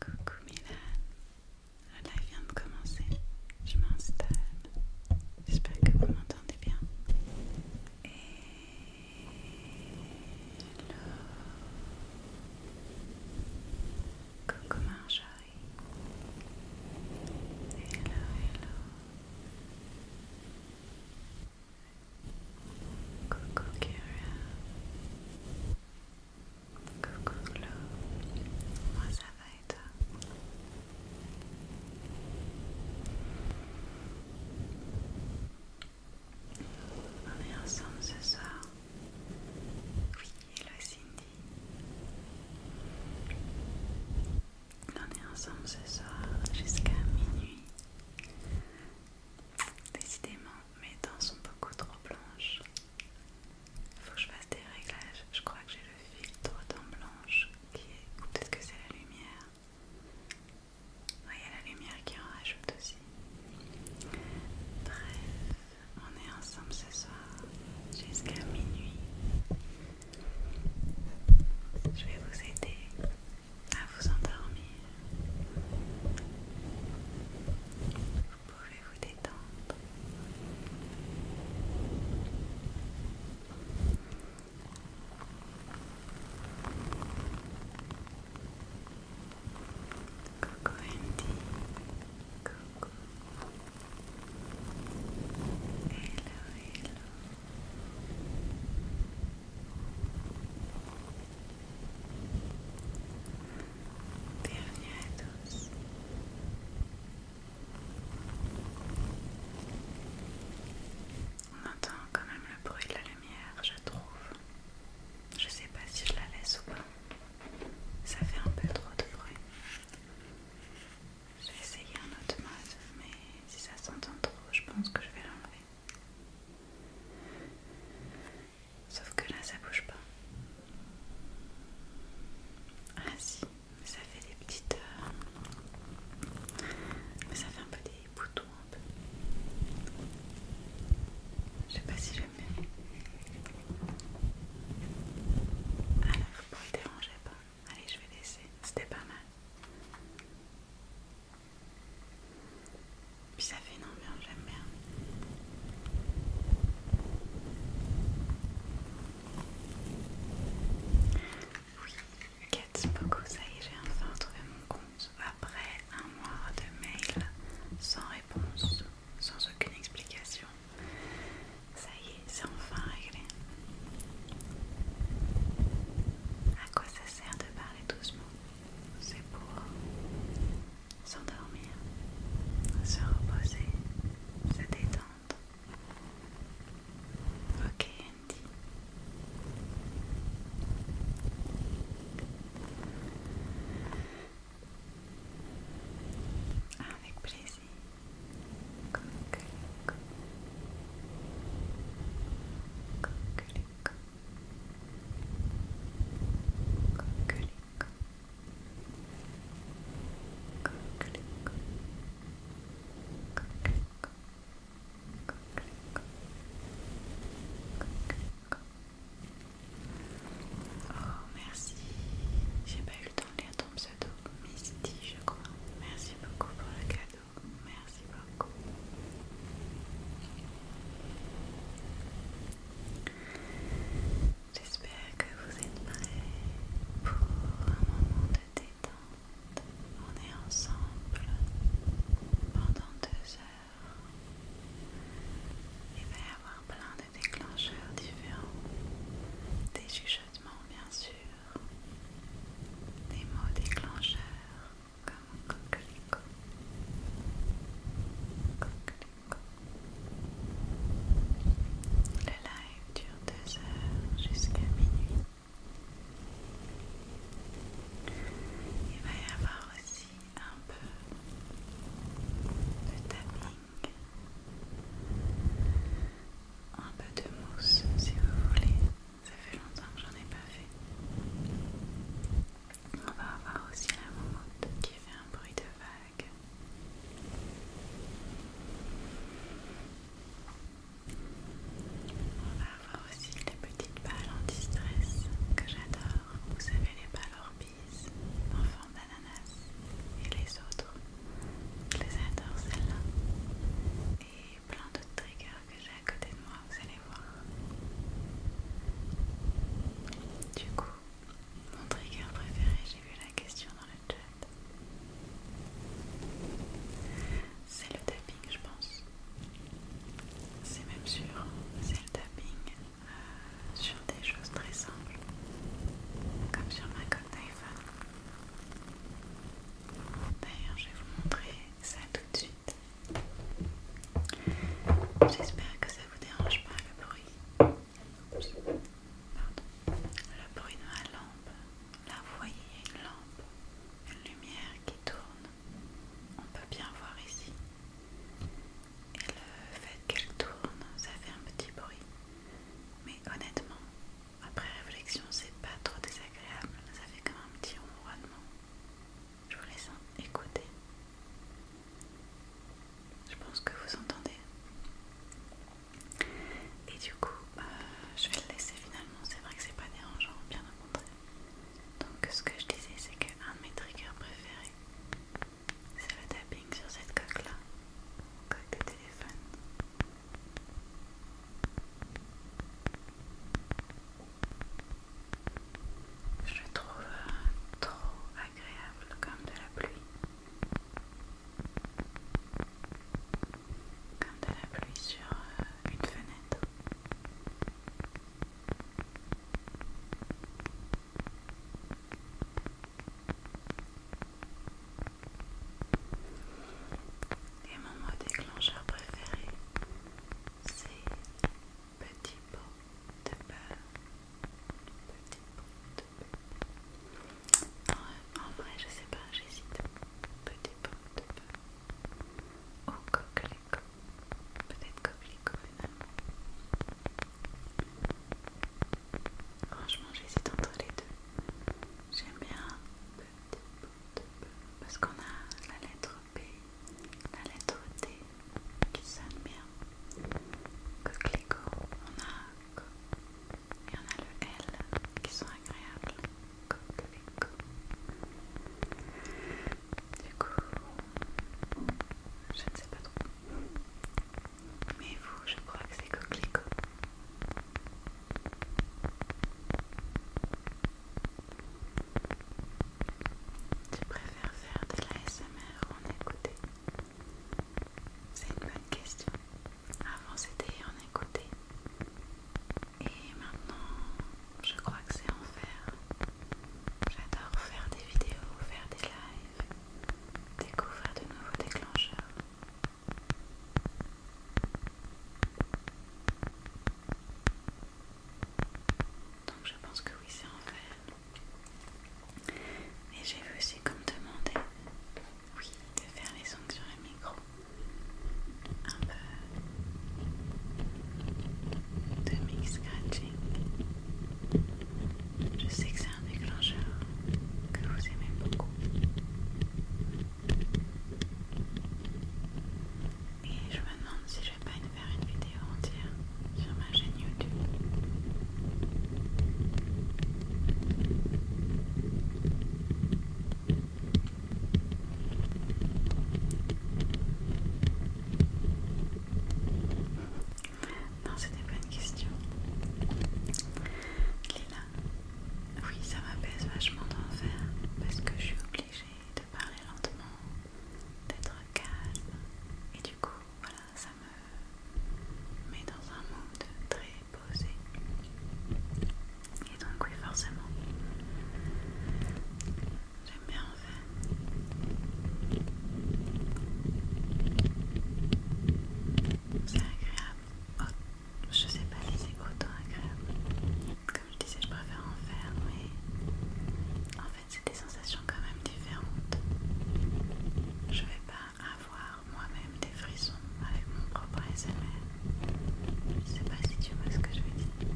Coucou Milan, le live vient de commencer, je m'installe, j'espère que vous m'entendez bien. Hello. Coucou Marjorie. Hello, hello. Coucou Kira. Coucou Flo. Moi ça va On est ensemble ce soir. Oui, hello Cindy. On est ensemble ce soir jusqu'à minuit. Décidément, mes dents sont beaucoup trop blanches. il Faut que je fasse des réglages. Je crois que j'ai le filtre dents blanches qui est. Ou peut-être que c'est la lumière. Il y a la lumière qui en rajoute aussi. Bref, on est ensemble ce soir jusqu'à minuit. Je vais vous aider à vous endormir. Vous pouvez vous détendre. Coucou Andy, coucou. Hello, hello. Dernier On entend quand même le bruit de la lumière, je trouve. Je sais pas si je la laisse ou pas. Ça fait un peu trop de bruit. Je vais un autre mode, mais si ça s'entend trop, je pense que je vais l'enlever. Sauf que là, ça bouge pas. Ah si, mais ça fait des petites... Euh, mais ça fait un peu des boutons un peu. Je sais pas si j'aime bien. Alors, pour ne pas déranger pas. Allez, je vais laisser. C'était pas mal. Puis ça fait une ambiance, j'aime bien. Oui, c'est beaucoup, ça y est, j'ai enfin retrouvé mon compte. Après un mois de mail sans réponse, sans aucune explication. Ça y est, c'est enfin réglé. À quoi ça sert de parler doucement c'est pour s'endormir, se reposer, se détendre. Ok Andy. Avec plaisir. Coucou, coucou. Oh merci, j'ai pas eu le temps de lire ton pseudo, je crois. Merci beaucoup pour le cadeau, beaucoup. J'espère que vous êtes prêts pour un moment de détente. On est ensemble pendant deux heures. Il va y avoir plein de déclencheurs différents, des chuchotements bien sûr, des mots déclencheurs, Cocorico. coquelicot Le live dure deux heures jusqu'à minuit. Il va y avoir aussi un peu de tapping, un peu de mousse si vous voulez. Ça fait longtemps que j'en ai pas fait. On va avoir aussi la moumoute qui fait un bruit de vague. On va avoir aussi les petites balles en distress que j'adore. Vous savez les balles Orbis en forme d'ananas et les autres. Je les adore celles-là. Et plein d'autres triggers que j'ai à côté de moi, vous allez voir. Du coup, mon trigger préféré, j'ai vu la question dans le chat. C'est le tapping, je pense. C'est même sûr, c'est le tapping euh, sur des choses très simples, comme sur ma coque d'iPhone. D'ailleurs, je vais vous montrer ça tout de suite. J'espère que ça vous dérange pas le bruit. Le bruit de ma lampe. Là, vous voyez, une lampe, une lumière qui tourne. On peut bien voir ici. Et le fait qu'elle tourne, ça fait un petit bruit. Mais honnêtement, après réflexion, c'est pas trop désagréable. Ça fait comme un petit ronronnement. Je vous laisse écouter. Je pense que vous entendez. Et du coup, euh, je vais le laisser finalement. C'est vrai que c'est pas dérangeant, bien au montrer. Donc, ce que je disais, c'est qu'un de mes triggers préférés, c'est le tapping sur cette coque-là, coque de téléphone. Je trouve euh, trop agréable comme de la pluie. Comme de la pluie sur euh, une fenêtre. Et mon mot déclencheur préféré, c'est petit pot de beurre, petit pot de beurre. En, vrai, je sais pas, j'hésite. Petit pot de beurre ou coquelicot, peut-être coquelicot finalement. Franchement, j'hésite entre les deux. J'aime bien petit pot de beurre parce qu'on a la lettre B, la lettre D qui sonne bien. Coquelicot, on a Co. Et on a le L qui sont agréables. Coquelicot. Du coup, je ne sais pas trop. Mais vous, je crois que c'est coquelicot. Tu préfères faire de l'ASMR en écouter C'est une bonne question. Avant c'était en écouté Et maintenant, je crois que c'est en faire. J'adore faire des vidéos, faire des lives, découvrir de nouveaux déclencheurs. Donc je pense que oui, c'est en fait. Et j'ai aussi comme demandé, oui, de faire les sons sur le micro. Un peu de mix scratching. Je sais que c'est un déclencheur que vous aimez beaucoup. Et je me demande si je vais pas faire une vidéo entière sur ma chaîne YouTube. Non, c'était pas une question. Lila, oui, ça m'apaise vachement d'en faire parce que je suis obligée parler lentement, d'être calme. Et du coup, voilà, ça me met dans un monde très posé. Et donc oui, forcément, j'aime bien en faire. C'est agréable. Oh, je sais pas si c'est autant agréable. Comme je disais, je préfère en faire, mais en fait, c'est des sensations quand même différentes. Je vais pas avoir moi-même des frissons avec mon propre ASMR. Je sais pas si tu vois ce que je veux dire.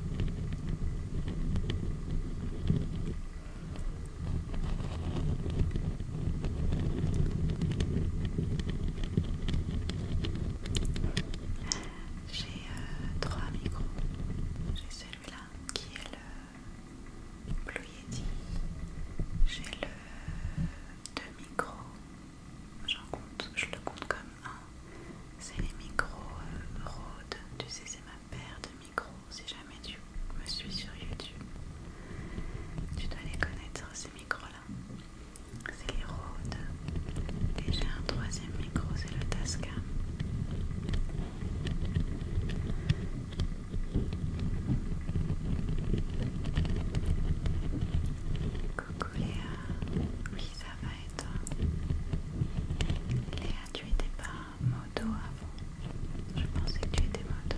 J'ai euh, trois micros. J'ai celui-là qui est le Blue Yeti. J'ai le 2 micros. J'en compte, je le compte comme un. C'est les micros euh, Rode. Tu sais, c'est ma paire de micros. Si jamais tu me suis sur YouTube, tu dois les connaître ces micros-là. C'est les Rode. Et j'ai un troisième micro, c'est le Tascam. Coucou Léa, oui ça va être, Léa tu étais pas moto avant, je pensais que tu étais moto.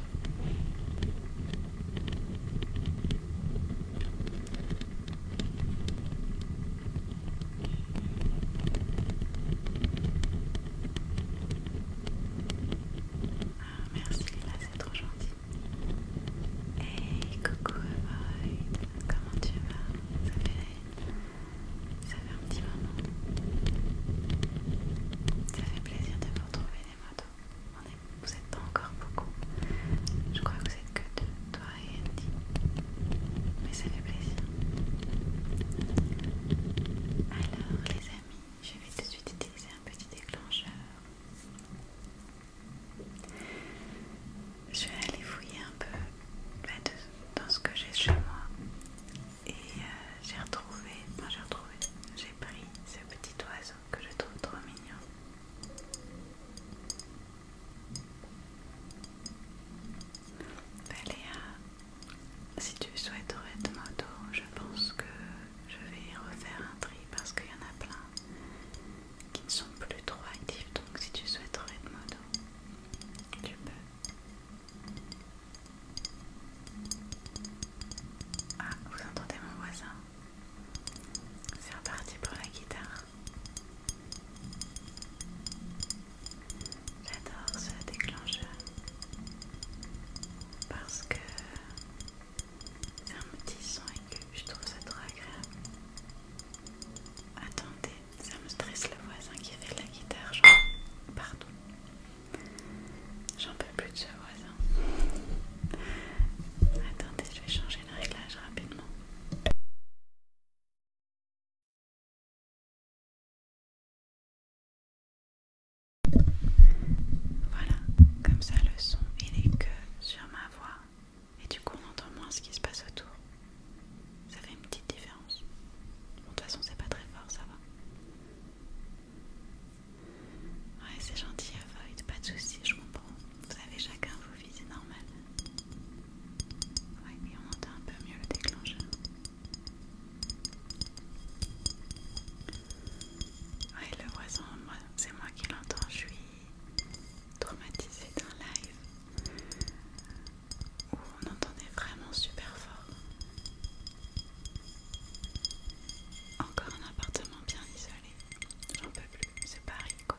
Ah, merci Lila, c'est trop gentil. Hey, coucou Avoid, comment tu vas ça fait, ça fait un petit moment. Ça fait plaisir de vous retrouver les motos. vous êtes pas encore beaucoup. Je crois que vous êtes que deux, toi et Andy ça fait plaisir. Alors les amis, je vais tout de suite utiliser un petit déclencheur. Je vais aller fouiller un peu bah, dans ce que j'ai chez moi. Et euh, j'ai retrouvé, enfin j'ai retrouvé, j'ai pris ce petit oiseau que je trouve trop mignon. Si tu souhaiterais de moto, je pense que je vais y refaire un tri parce qu'il y en a plein qui ne sont plus trop actifs. Donc si tu souhaiterais de moto, tu peux. Ah, vous entendez mon voisin C'est reparti pour la guitare. J'adore ce déclencheur parce que c'est un petit son aigu, je trouve ça trop agréable. Attendez, ça me stresse le voisin qui fait la guitare, genre. Pardon. J'en peux plus de ce voisin. Attendez, je vais changer le réglage rapidement. Voilà, comme ça le son il est que sur ma voix et du coup on entend moins ce qui se passe autour. Ça fait une petite différence. Bon, de toute façon c'est pas très fort, ça va. Ouais c'est gentil Void, pas de soucis, je comprends. Vous avez chacun vos vies, c'est normal. Ouais, oui, on entend un peu mieux le déclencheur. Ouais, le voisin, c'est moi qui l'entends, je suis traumatisée d'un live où on entendait vraiment super fort. Encore un appartement bien isolé, j'en peux plus, c'est Paris quoi.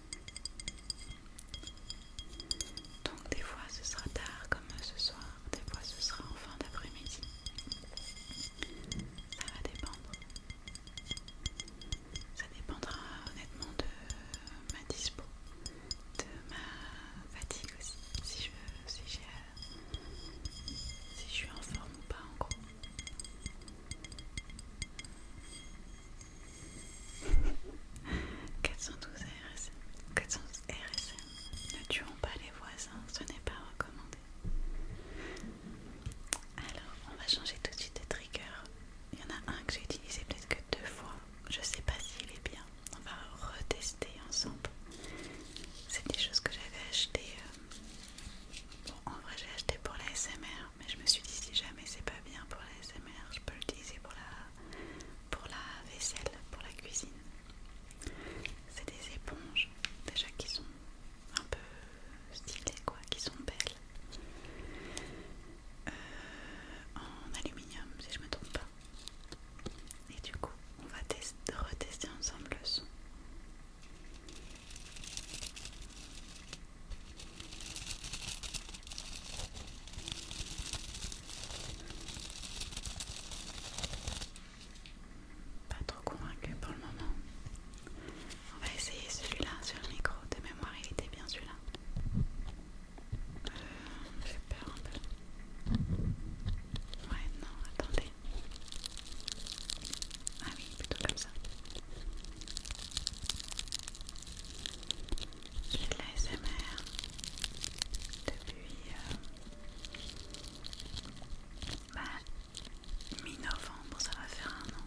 Donc des fois ce sera tard comme ce soir, des fois ce sera en fin d'après-midi. Ça va dépendre. Ça dépendra honnêtement de ma dispo, de ma fatigue aussi, si je, si je suis en forme ou pas en gros. 412 RSM. 412 RSM. Ne tuons pas les voisins, ce n'est pas recommandé. Alors, on va changer tout de suite de trigger. Il y en a un que j'ai utilisé peut-être que deux fois. Je sais pas s'il est bien. On va retester ensemble. C'est des choses que j'avais achetées. Euh, bon, en vrai, j'ai acheté pour la SMR mais je me suis dit si jamais c'est pas bien pour la SMR, je peux l'utiliser pour la, pour la vaisselle, pour la cuisine. C'est des éponges déjà qui sont un peu stylées quoi, qui sont belles. Euh, en aluminium si je me trompe pas. Et du coup, on va retester ensemble le son. Pas trop convaincu pour le moment. On va essayer celui-là sur le micro. De mémoire, il était bien celui-là. Euh, j'ai peur un peu. Ouais, non, attendez. Ah oui, plutôt comme ça. J'ai la de l'ASMR depuis mi-novembre, ça va faire un an.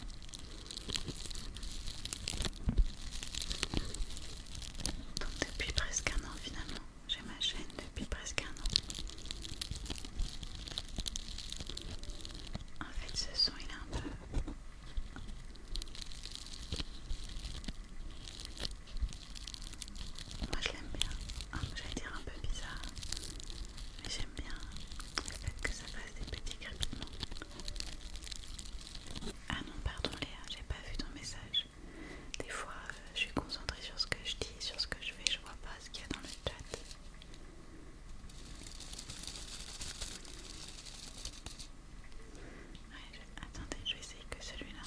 Donc depuis presque un an finalement, j'ai ma chaîne depuis presque un an. En fait ce son il est un peu moi je l'aime bien. Ah, j'allais dire un peu bizarre. Mais j'aime bien le fait que ça fasse des petits crépitements. Ah non, pardon Léa, j'ai pas vu ton message. Des fois, euh, je suis concentrée sur ce que je dis, sur ce que je fais, je vois pas ce qu'il y a dans le chat. Attendez, je vais essayer que celui-là.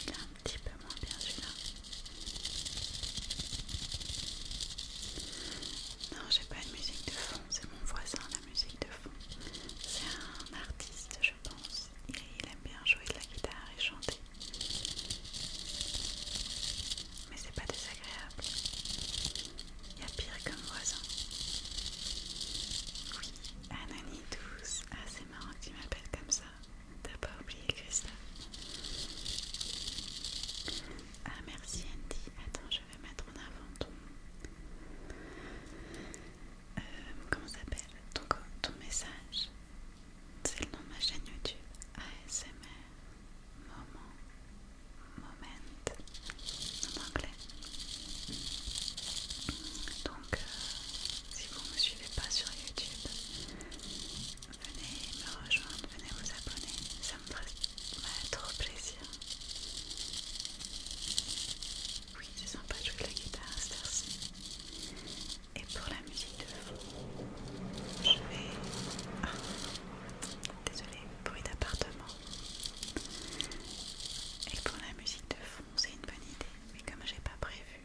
Il est un petit peu moins bien celui-là. Non, j'ai pas une musique de fond, c'est mon voisin la musique de fond. C'est un artiste, je pense. Et il aime bien jouer de la guitare et chanter. Mais c'est pas désagréable. Il y a pire comme voisin. Oui, Anani douce. Ah, c'est marrant que tu m'appelles comme ça. T'as pas oublié ça. Ah, merci Andy. Attends, je vais mettre en avant ton. Euh, comment s'appelle ton message c'est le nom de ma chaîne YouTube ASMR Moment Moment en anglais. Donc, euh, si vous ne me suivez pas sur YouTube, venez me rejoindre, venez vous abonner, ça me ferait trop plaisir. Oui, c'est sympa de jouer de la guitare à cette et pour la musique de fond, je vais... Ah, bruit d'appartement. Et pour la musique de fond, c'est une bonne idée, mais comme j'ai pas prévu,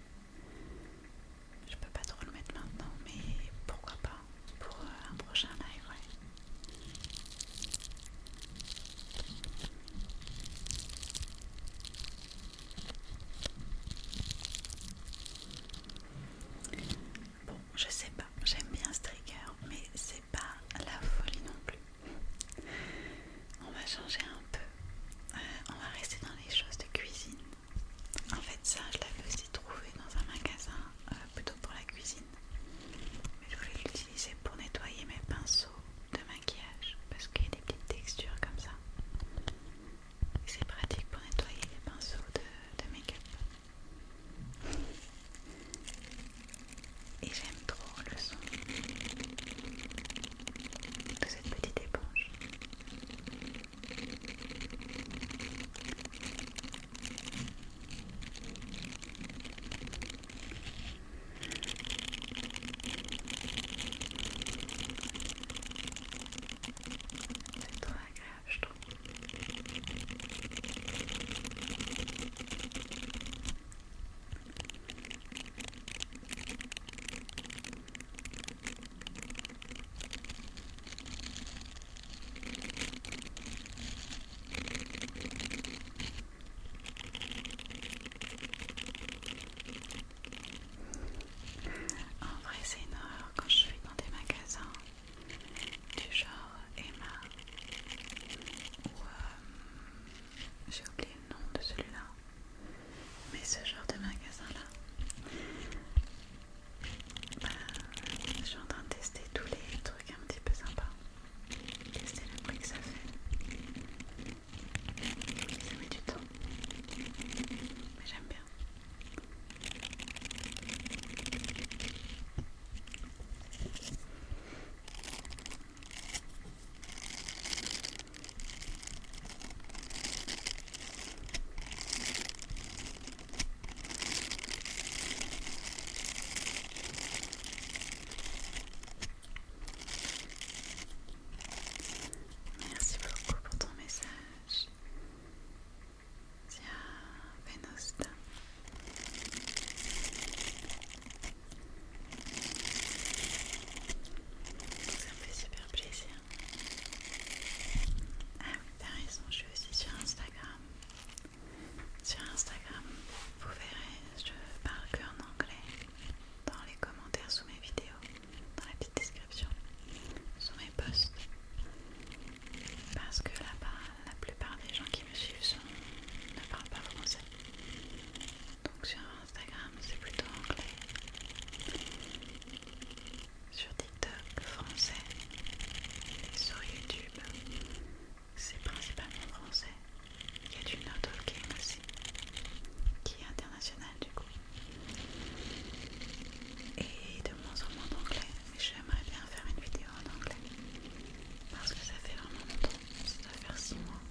je peux pas trop le mettre maintenant, mais pourquoi pas pour euh, un prochain live, ouais. Bon, je sais pas, j'aime bien striker mais c'est pas la folie non plus. On va changer un peu. Euh, on va rester dans les choses de cuisine. En fait, ça, je l'avais aussi trouvé dans un magasin, euh, plutôt pour la cuisine. Mais je voulais l'utiliser pour nettoyer mes pinceaux de maquillage parce qu'il y a des petites textures comme ça. C'est pratique pour nettoyer les pinceaux de, make-up. Et j'aime trop le son de cette petite éponge. C'est trop agréable. En vrai, c'est une horreur quand je suis dans des magasins du genre Emma ou euh, j'ai oublié le nom de celui-là mais ce genre de magasin là bah, je suis en train de tester tous les trucs un petit peu sympas tester le bruit que ça fait ça met du temps mais j'aime bien Merci beaucoup pour ton message. Tiens, wenn Ça me fait super plaisir. Ah oui, t'as raison, je suis aussi sur Instagram. Sur Instagram, vous verrez, je parle que anglais dans les commentaires sous mes vidéos, dans la petite description post parce que là-bas la plupart des gens qui me suivent ne parlent pas français donc sur Instagram c'est plutôt anglais sur TikTok français et sur YouTube c'est principalement français il y a du no-talking aussi qui est international du coup et de moins en moins d'anglais. J'aimerais bien faire une vidéo en anglais parce que ça fait vraiment longtemps, ça doit faire 6 mois.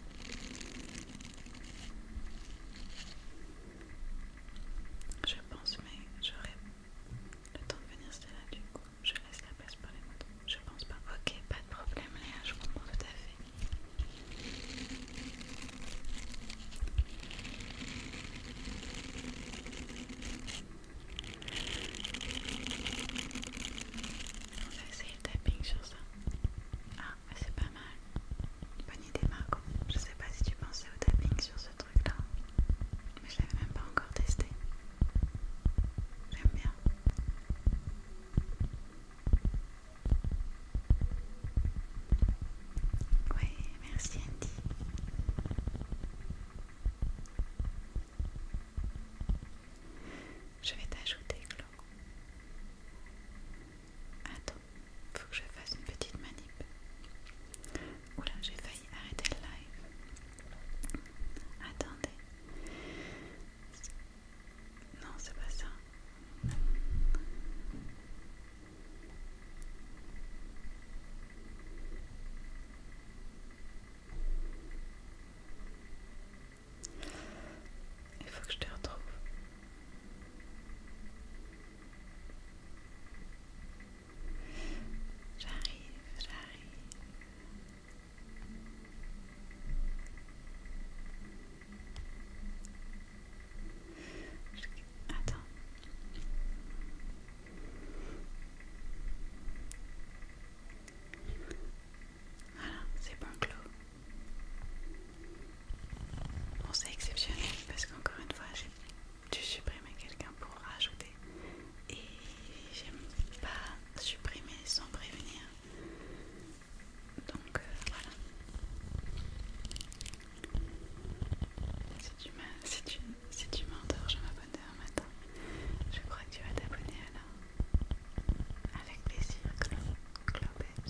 Je pense, mais j'aurai le temps de venir, c'est là du coup. Je laisse la place pour les motos. Je pense pas. Ok, pas de problème, Léa, je comprends tout à fait. On va essayer le tapping sur ça. Ah, c'est pas mal. Bonne idée, Marco. Je sais pas si tu pensais au tapping sur ce truc là, mais je l'avais même pas encore testé. J'aime bien. Oui, merci Andy. Je vais t'ajouter, Claude. Attends, faut que je fasse une petite manip. Oula, j'ai failli arrêter le live. Attendez. Non, c'est pas ça. Il faut que je te retrouve. J'arrive, j'arrive. Attends. Voilà, c'est bon clos. Bon, c'est exceptionnel parce qu'encore une fois, j'ai dû supprimer quelqu'un pour rajouter et j'aime pas supprimer sans prévenir. Donc euh, voilà. C'est une, si tu m'endors, je m'abonne demain Je crois que tu vas t'abonner à Avec plaisir, Envers.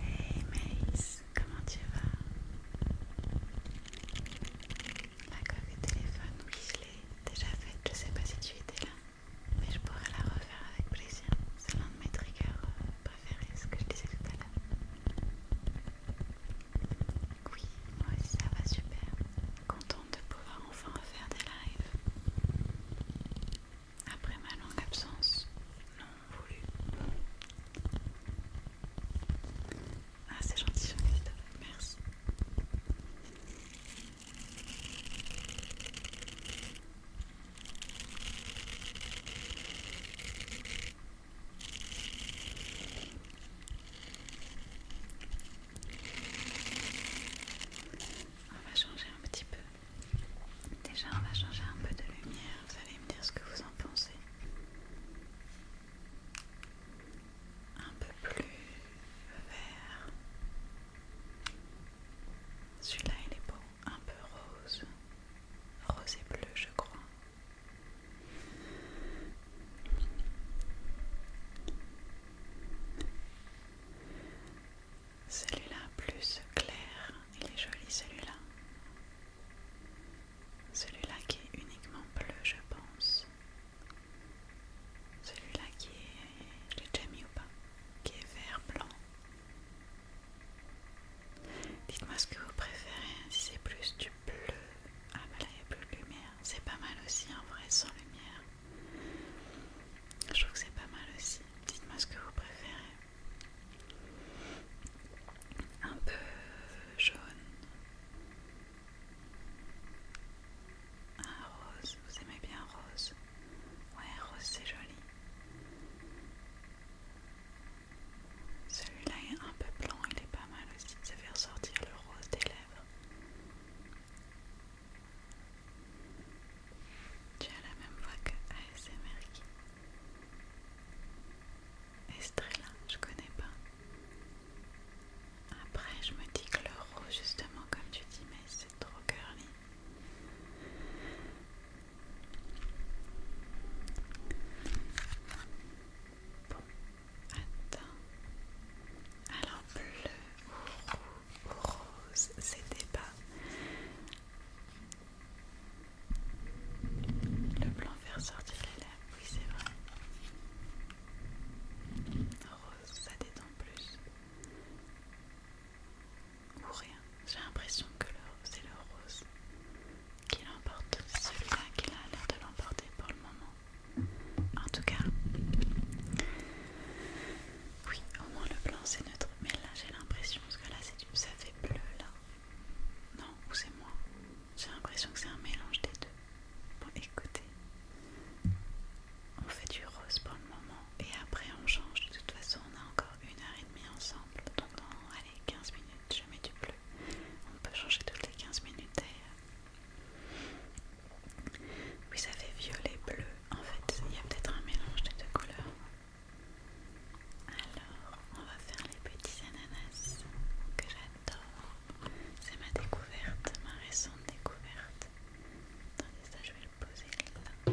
Hey Mais, comment tu vas La coque téléphone, oui je l'ai déjà faite, je sais pas si tu étais là, mais je pourrais la refaire avec plaisir. C'est l'un de mes triggers euh, préférés, ce que je disais tout à l'heure. Oui, moi aussi ça va super. Contente de pouvoir enfin refaire des lives après ma longue absence non voulu Ah, c'est gentil, je merci. On va changer un petit peu. Déjà, on va changer un peu de lumière. Vous allez me dire ce que vous en pensez. Un peu plus vert. Celui-là, il est beau. Un peu rose. Rose et bleu, je crois. Celui-là plus clair, il est joli celui-là. Celui-là qui est uniquement bleu, je pense. Celui-là qui est. Je l'ai déjà mis ou pas Qui est vert blanc. Dites-moi ce que vous préférez, si c'est plus du bleu. Ah bah là il n'y a plus de lumière. C'est pas mal aussi en vrai sans lumière. Je trouve que c'est pas mal aussi. Dites-moi ce que vous préférez. Un peu euh, jaune. Ah, rose, vous aimez bien rose Ouais, rose c'est joli. Celui-là est un peu blanc, il est pas mal aussi. Ça fait ressortir le rose des lèvres. Tu as la même voix que ASMR Estrella, je connais pas. Après, je me dis que le roux, justement, comme tu dis, mais c'est trop curly. Bon, attends. Alors, bleu rose, c'était pas le blanc faire sortir les lèvres, oui c'est vrai. Rose, ça détend plus. Ou rien. J'ai l'impression que c'est le rose qui l'emporte. Celui-là qui a l'air de l'emporter pour le moment. En tout cas, oui, au moins le blanc c'est neutre. Mais là j'ai l'impression, parce que là du... ça fait bleu là. Non, ou c'est moi J'ai l'impression que c'est un mélange des deux. Bon, écoutez. On fait du rose pour le moment et après on change. De toute façon, on a encore une heure et demie ensemble. Donc non allez, 15 minutes, je mets du bleu. On peut changer toutes les 15 minutes d'ailleurs. Oui, ça fait violet bleu en fait, il y a peut-être un mélange des deux couleurs. Alors, on va faire les petits ananas que j'adore. C'est ma découverte, ma récente découverte. Attendez, ça je vais le poser là.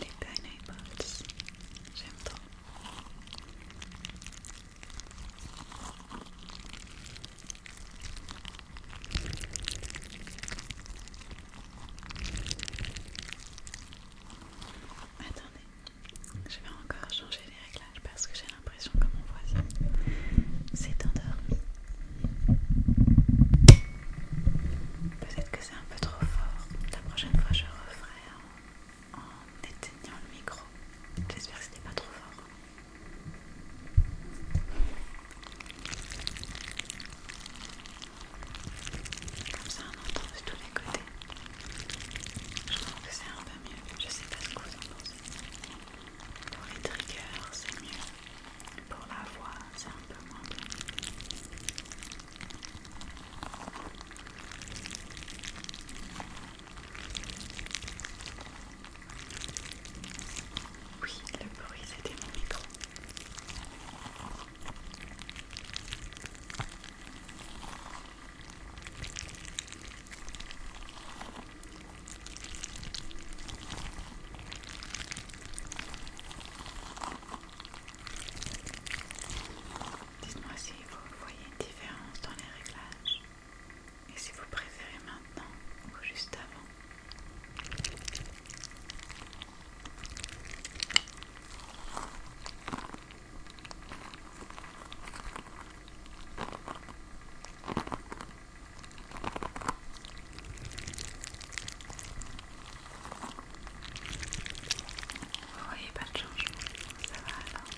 Les pineapples, j'aime trop. Attendez, je vais encore changer les réglages parce que j'ai l'impression que mon voisin s'est endormi. Peut-être que c'est un peu trop fort. La prochaine fois, je referai en, éteignant le micro. J'espère que ce n'est pas trop fort. Comme ça, on entend de tous les côtés. Je pense que c'est un peu mieux. Je ne sais pas ce que vous en pensez. Pour les triggers, c'est mieux. Pour la voix, c'est un peu moins bien. Oui, le bruit c'était mon micro. Dites-moi si vous voyez une différence dans les réglages et si vous préférez maintenant ou juste avant. Vous voyez pas de changement, ça va alors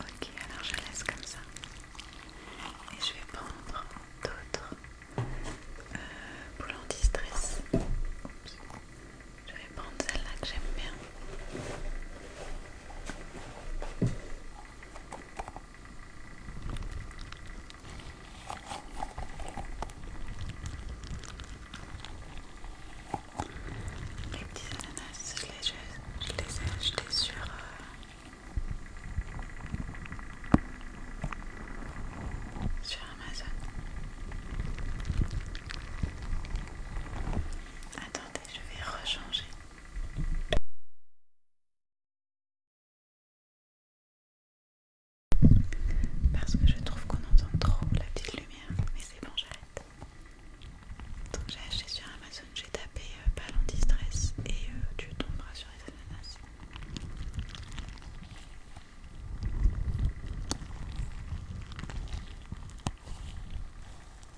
Ok, alors je laisse comme ça. Et je vais prendre d'autres euh, boules anti Je vais prendre celle-là que j'aime bien. Les petits ananas, je les, ai achetés sur euh, sur Amazon. Attendez, je vais rechanger. Parce que je trouve qu'on entend trop la petite lumière, mais c'est bon, j'arrête. Donc j'ai acheté sur Amazon, j'ai tapé euh, ballon pas stress et euh, tu tomberas sur les ananas.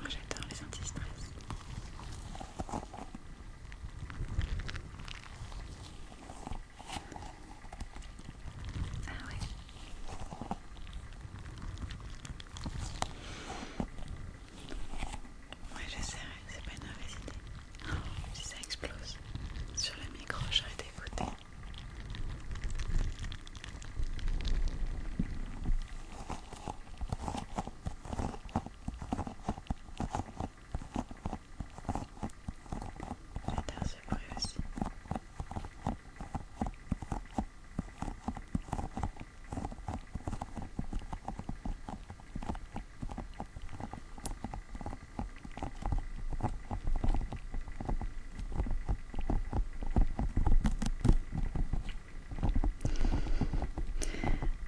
Moi j'adore les anti-stress. Ah ouais. Oui j'essaierai, c'est pas une mauvaise idée. Oh, si ça explose sur le micro, j'aurai des beautés. J'adore ce bruit aussi. Ah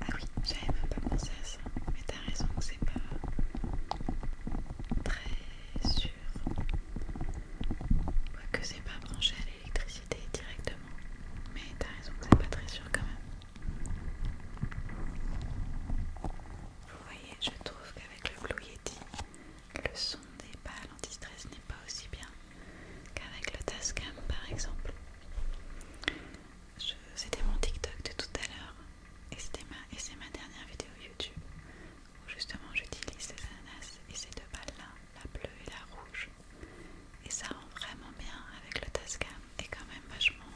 oui, j'avais même pas pensé à ça, mais t'as raison que c'est pas très sûr. quoi que c'est pas branché l'électricité directement. Mais t'as raison, c'est pas très sûr quand même. Vous voyez, je trouve qu'avec le Blue Yeti, le son des balles anti-stress n'est pas aussi bien qu'avec le Tascam par exemple. C'était mon TikTok de tout à l'heure et c'est ma, ma dernière vidéo YouTube où justement j'utilise ces ananas et ces deux balles là la bleue et la rouge. Et ça rend vraiment bien avec le Tascam. Et quand même vachement.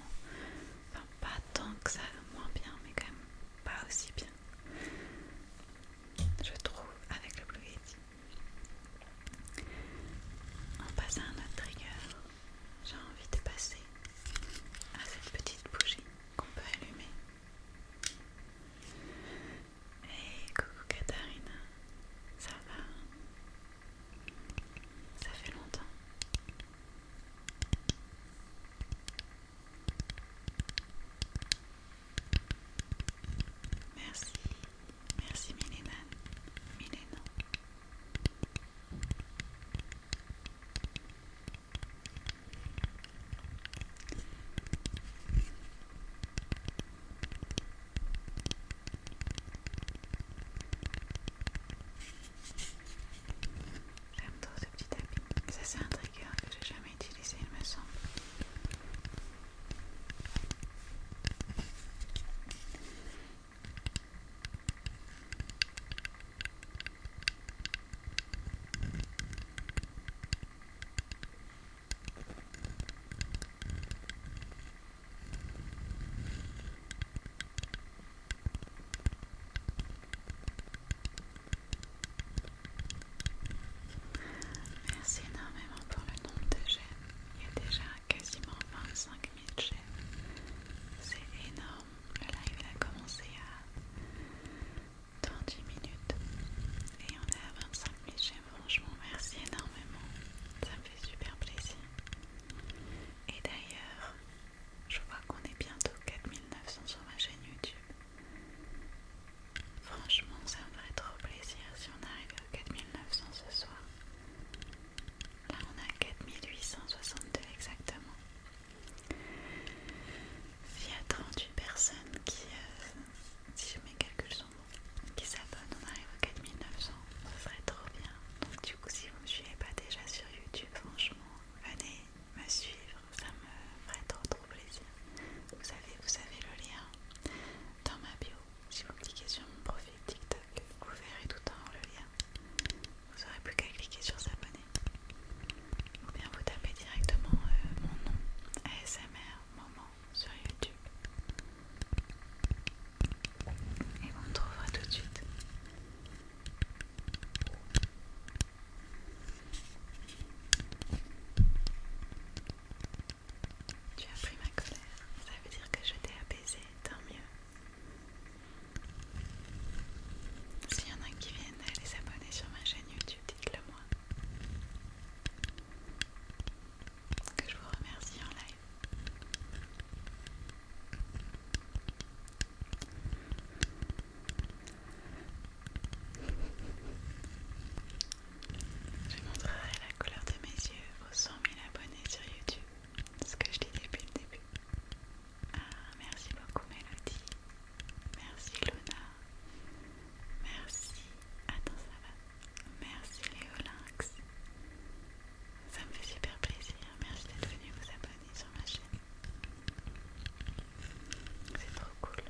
Enfin, pas tant que ça, moins bien, mais quand même pas aussi bien. Je trouve avec le Blue Yeti. On passe à un autre trigger. J'ai envie de passer à cette petite bougie qu'on peut allumer. Hey, coucou Katharina, ça va Ça fait longtemps. Merci, merci Milena, Milena. J'aime trop ce petit tapis. Ça c'est un trigger que j'ai jamais utilisé il me semble. Merci énormément pour le nombre de j'aime. Il y a déjà quasiment 25 000 j'aime. C'est énorme. Le live a commencé à 10 minutes et on est à 25 000 j'aime franchement, merci énormément. Ça me fait super plaisir. Et d'ailleurs, je vois qu'on est bientôt 4900 sur ma chaîne YouTube. Franchement, ça me ferait trop plaisir si on arrive à 4900 ce soir. Là, on a 4862 exactement. Il y a 38 personnes qui, euh, si je mes calculs qui s'abonnent, on arrive aux 4900, ce serait trop bien. Donc du coup si vous me suivez pas déjà sur YouTube, franchement, venez me suivre, ça me ferait trop trop plaisir. Vous savez, vous avez le lien dans ma bio. Si vous cliquez sur mon profil TikTok, vous verrez tout en temps le lien. Vous n'aurez plus qu'à cliquer sur s'abonner. Ou bien vous tapez directement euh, mon nom, ASMR, moment sur YouTube. Et on me trouvera tout de suite. Tu as pris ma colère, ça veut dire que je t'ai apaisé, tant mieux. S'il y en a qui viennent les abonner sur ma chaîne YouTube, dites-le moi que je vous remercie en live. Je montrerai la couleur de mes yeux aux 100 000 abonnés sur YouTube, ce que je dis depuis le début. Ah, merci beaucoup Mélodie, merci Luna, merci... Attends, ça va Merci Léolinx. Ça me fait super plaisir. Merci d'être venu vous abonner sur ma chaîne. C'est trop cool.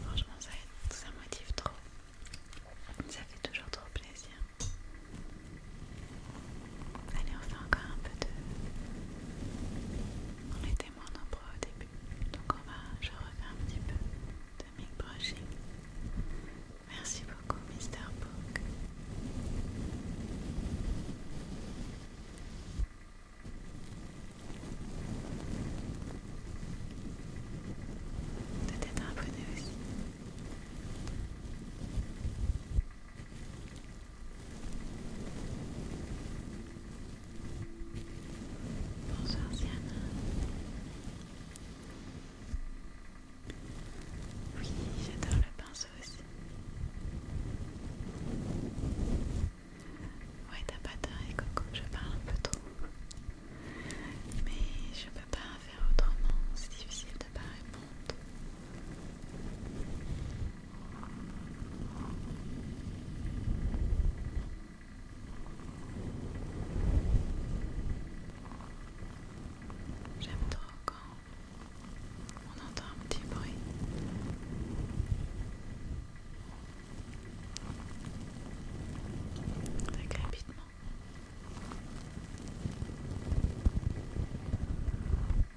Franchement, ça, ça motive trop. Ça fait toujours trop plaisir. Allez, on fait encore un peu de... On était moins nombreux au début, donc on va... je refais un petit peu de mic brushing. Merci beaucoup, Mister Book. Peut-être un bonnet aussi. Bonsoir Siana. Oui, j'adore le pinceau aussi. Ouais, t'as pas est Coco, je parle un peu trop. Mais je peux pas faire autrement, c'est difficile J'aime trop quand on entend un petit bruit. rapidement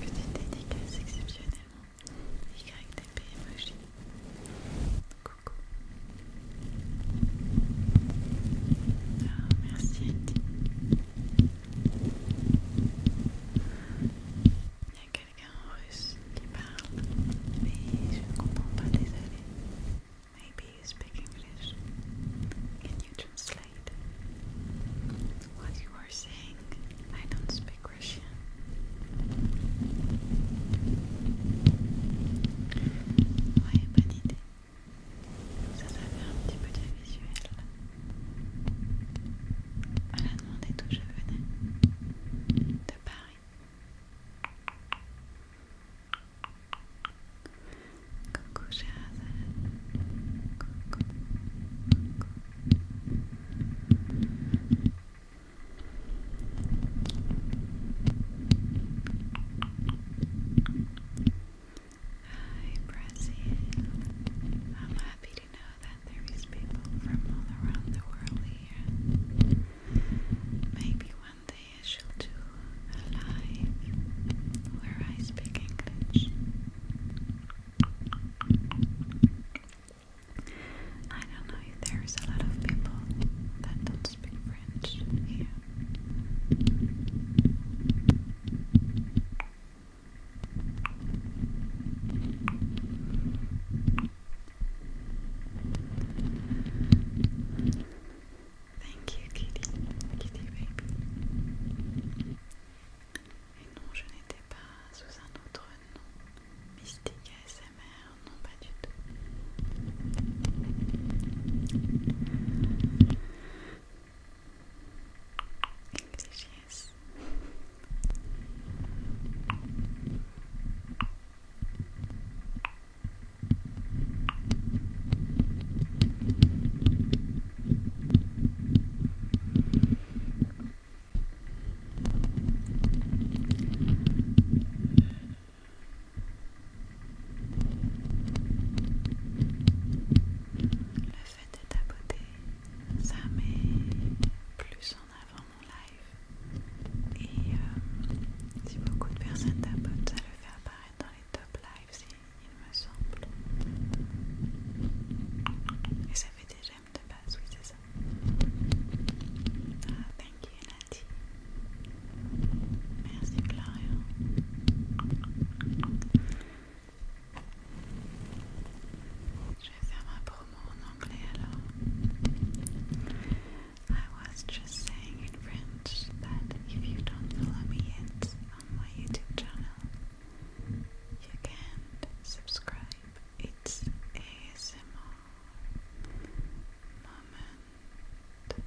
Petite dédicace exceptionnellement. YTP emoji. Coucou. Ah, merci quelqu'un en russe qui parle, mais je ne comprends pas, désolé. Maybe you speak English. Can you translate what you are saying? I don't speak Russian. Ouais, bonne idée. Ça, ça fait un petit peu de visuel. Elle a demandé d'où je venais. De Paris. Cuckoo Shazan. Cuckoo. I'm happy to know that there is people from all around the world here. Maybe one day I shall do a live where I speak English. I don't know if there is a lot of people that don't speak French here. Thank you, Kitty, Kitty Et non, je n'étais pas sous un autre nom. Mystique ASMR, non pas du tout. Le fait de à beauté, ça m'est plus avant mon live. Et euh, si beaucoup de personnes t'abonnent, ça le fait apparaître dans les top lives, il me semble. Et ça fait des j'aime de base, oui, c'est ça. Ah, thank you, Nati. Merci, Florian. Je vais faire ma promo en anglais alors. I was just saying in French that if you don't follow me yet on my YouTube channel, you can subscribe. It's ASMR Moment.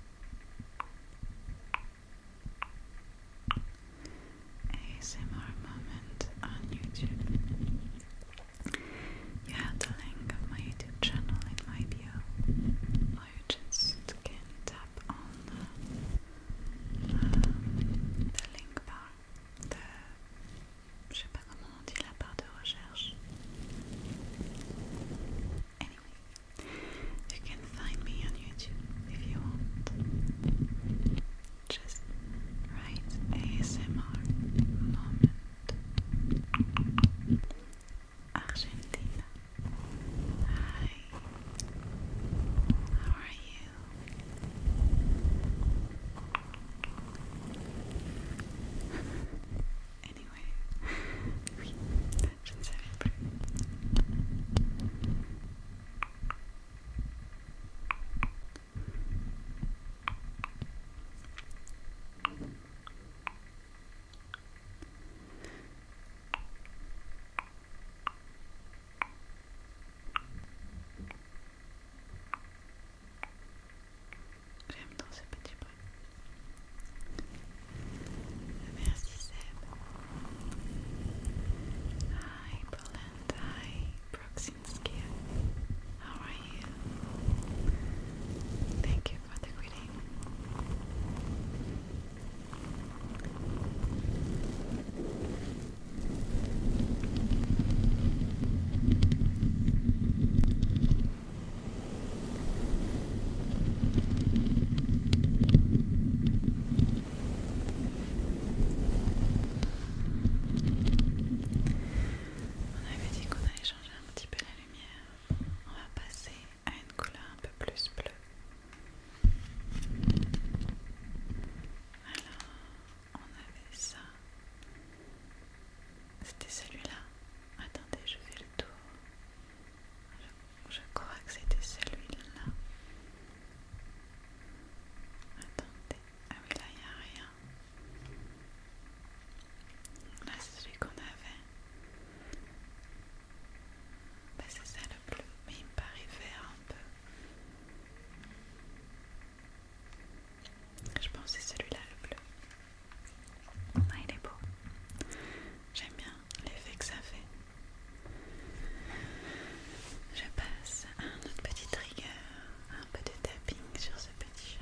ASMR Moment on YouTube. You have the link of my YouTube channel in my bio, or you just can tap on um, the, link bar, the, je sais pas comment on dit, la barre de recherche. Anyway, you can find me on YouTube if you want. Just write ASMR moment Argentina. Hi. How are you? anyway, oui, je ne J'aime dans ce petit bruit. Merci Seb. Hi Poland, hi Proximskia. How are on avait dit qu'on allait changer un petit peu la on va passer à une couleur un peu plus bleue. Alors, on avait ça. C'était celui-là. Attendez, je fais le tour. Je, je crois que c'était celui-là. Attendez. Ah oui, là, il n'y a rien. Là, c'est celui qu'on avait. Bah, c'est ça le bleu, mais il me paraît vert un peu. Je pense que c'est celui-là le bleu. Ah, il est beau. J'aime bien l'effet que ça fait. Je passe à un autre petit trigger, un peu de tapping sur ce petit chat.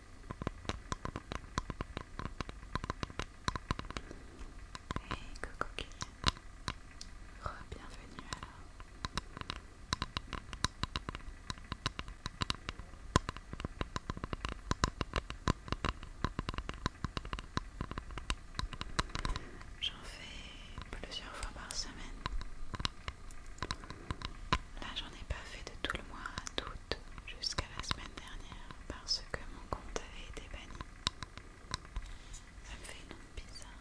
Et que Key, re-bienvenue alors. J'en fais plusieurs fois par semaine. Là, j'en ai pas fait de tout le mois d'août jusqu'à la semaine dernière parce que mon compte avait été banni. Ça me fait une onde bizarre.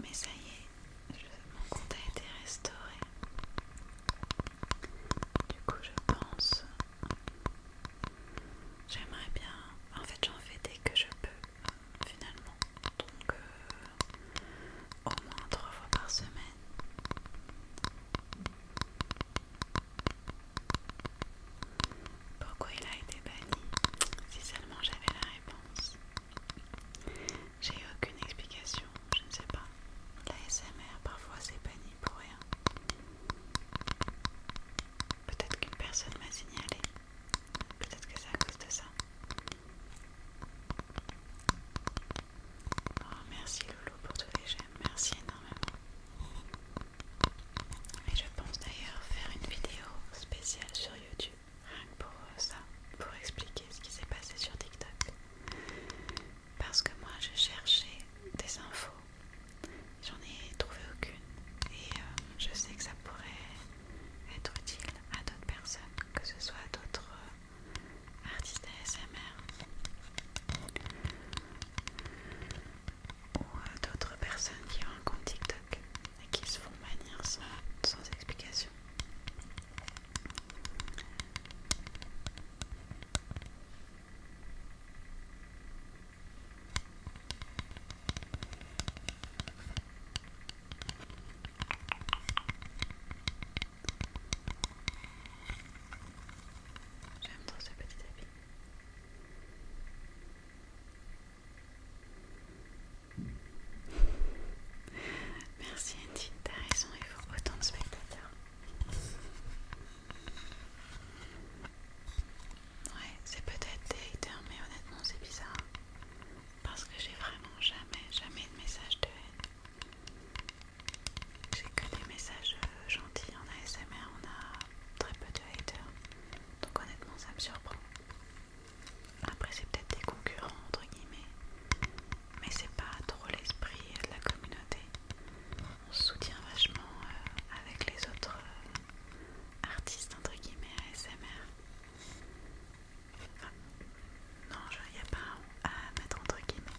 Mais ça y est, mon compte a été restauré. Du coup, je pense. J'aimerais bien. En fait, j'en fais dès que je peux, finalement. Donc, euh, au moins trois fois par semaine. Pourquoi il a été banni Si seulement j'avais la réponse. J'ai aucune explication, je ne sais pas. La SMR parfois c'est banni pour rien. Peut-être qu'une personne m'a signalé. Peut-être que c'est à cause de ça. Oh, merci Loulou pour tous les j'aime, merci énormément. Et je pense d'ailleurs faire une vidéo spéciale sur YouTube, rien que pour ça, pour expliquer ce qui s'est passé sur TikTok. Parce que moi j'ai cherché des infos, j'en ai trouvé aucune, et euh, je sais que ça pourrait être utile à d'autres personnes, que ce soit d'autres. Euh, artistes ASMR ou euh, d'autres personnes qui ont un compte TikTok et qui se font manier sans explication. J'aime trop ce petit habit Merci Andy, t'as raison, il faut autant de spectateurs. Ouais, c'est peut-être des haters, mais honnêtement c'est bizarre. Parce que j'ai vraiment jamais, jamais de message de haine. J'ai que des messages euh, gentils en ASMR, on a très peu de haters, donc honnêtement ça me surprend. Après c'est peut-être des concurrents entre guillemets, mais c'est pas trop l'esprit de la communauté. On se soutient vachement euh, avec les autres euh, artistes entre guillemets ASMR. non, il n'y a pas à mettre entre guillemets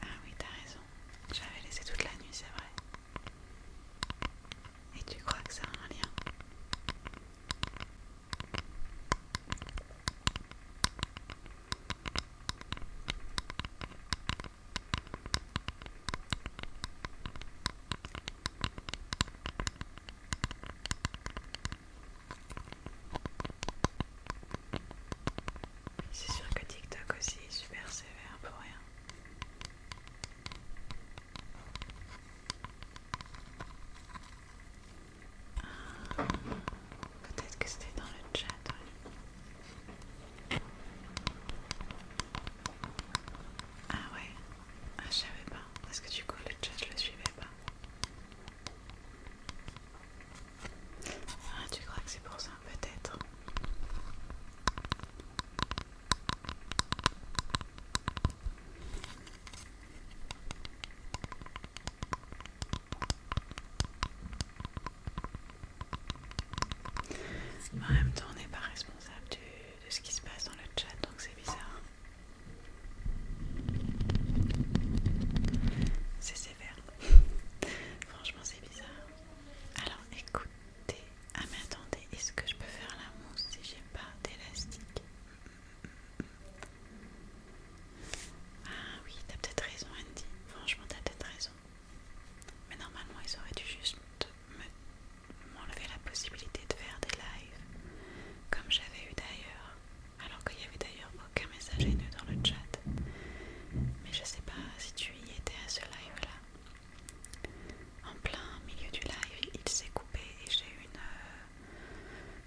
Ah oui, t'as raison. J'avais laissé toute la nuit, c'est vrai. Et tu crois que ça a un lien c'est sûr que TikTok aussi est super sévère pour rien. Peut-être que c'était dans le chat. Hein. Ah ouais, ah, je savais pas, parce que du coup le chat je le suivais pas. Ah tu crois que c'est pour ça peut-être en même temps, on n'est pas responsable de, ce qui se passe dans le chat, donc c'est bizarre. C'est sévère. Franchement, c'est bizarre. Alors, écoutez. Ah, mais attendez, est-ce que je peux faire la mousse si j'ai pas d'élastique Ah oui, t'as peut-être raison, Andy. Franchement, t'as peut-être raison. Mais normalement, ils auraient dû juste m'enlever la possibilité de faire des lives, comme j'avais eu d'ailleurs, alors qu'il n'y avait d'ailleurs aucun message haineux dans le chat. Mais je sais pas si tu y étais à ce live-là. En plein milieu du live, il s'est coupé et j'ai eu une... Euh,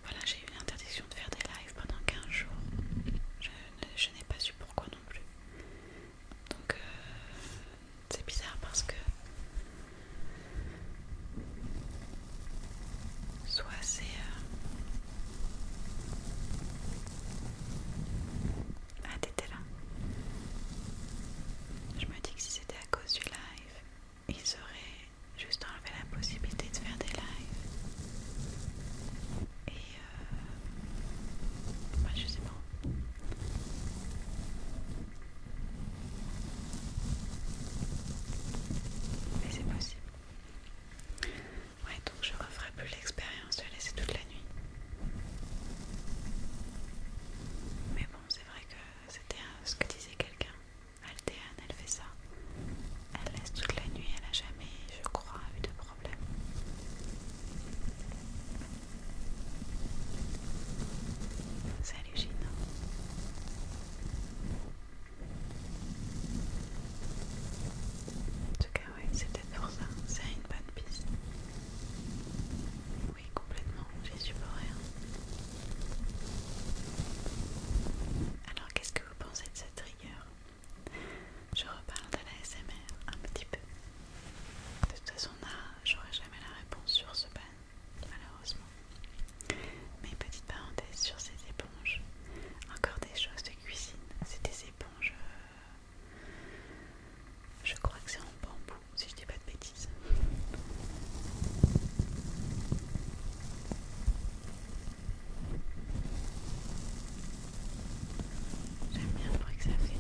voilà, j'ai eu une interdiction de faire des lives pendant 15 jours. je n'ai pas su pourquoi non plus. Donc euh, c'est bizarre parce que soit c'est euh, ah t'étais là. Je me dis que si c'était à cause du live, ils auraient juste enlevé la possibilité de faire des lives. Et euh, bah, je sais pas. Mais c'est possible. Ouais, donc je referai plus l'expérience de laisser toute la nuit. Mais bon, c'est vrai que c'était ce que disait quelqu'un. Altéane, elle fait ça. Elle laisse toute la nuit, elle a jamais, je crois, eu de problème. Salut Gino En tout cas, oui, c'était pour ça. C'est une bonne piste. Oui, complètement, j'y suis pour rien. Hein. Alors, qu'est-ce que vous pensez de cette rigueur je reparle de la SMR un petit peu. De toute façon, j'aurai jamais la réponse sur ce pan, malheureusement. Mais petite parenthèse sur ces éponges, encore des choses de cuisine. C'est des éponges, euh, je crois que c'est en bambou, si je dis pas de bêtises. J'aime bien le bruit que ça fait.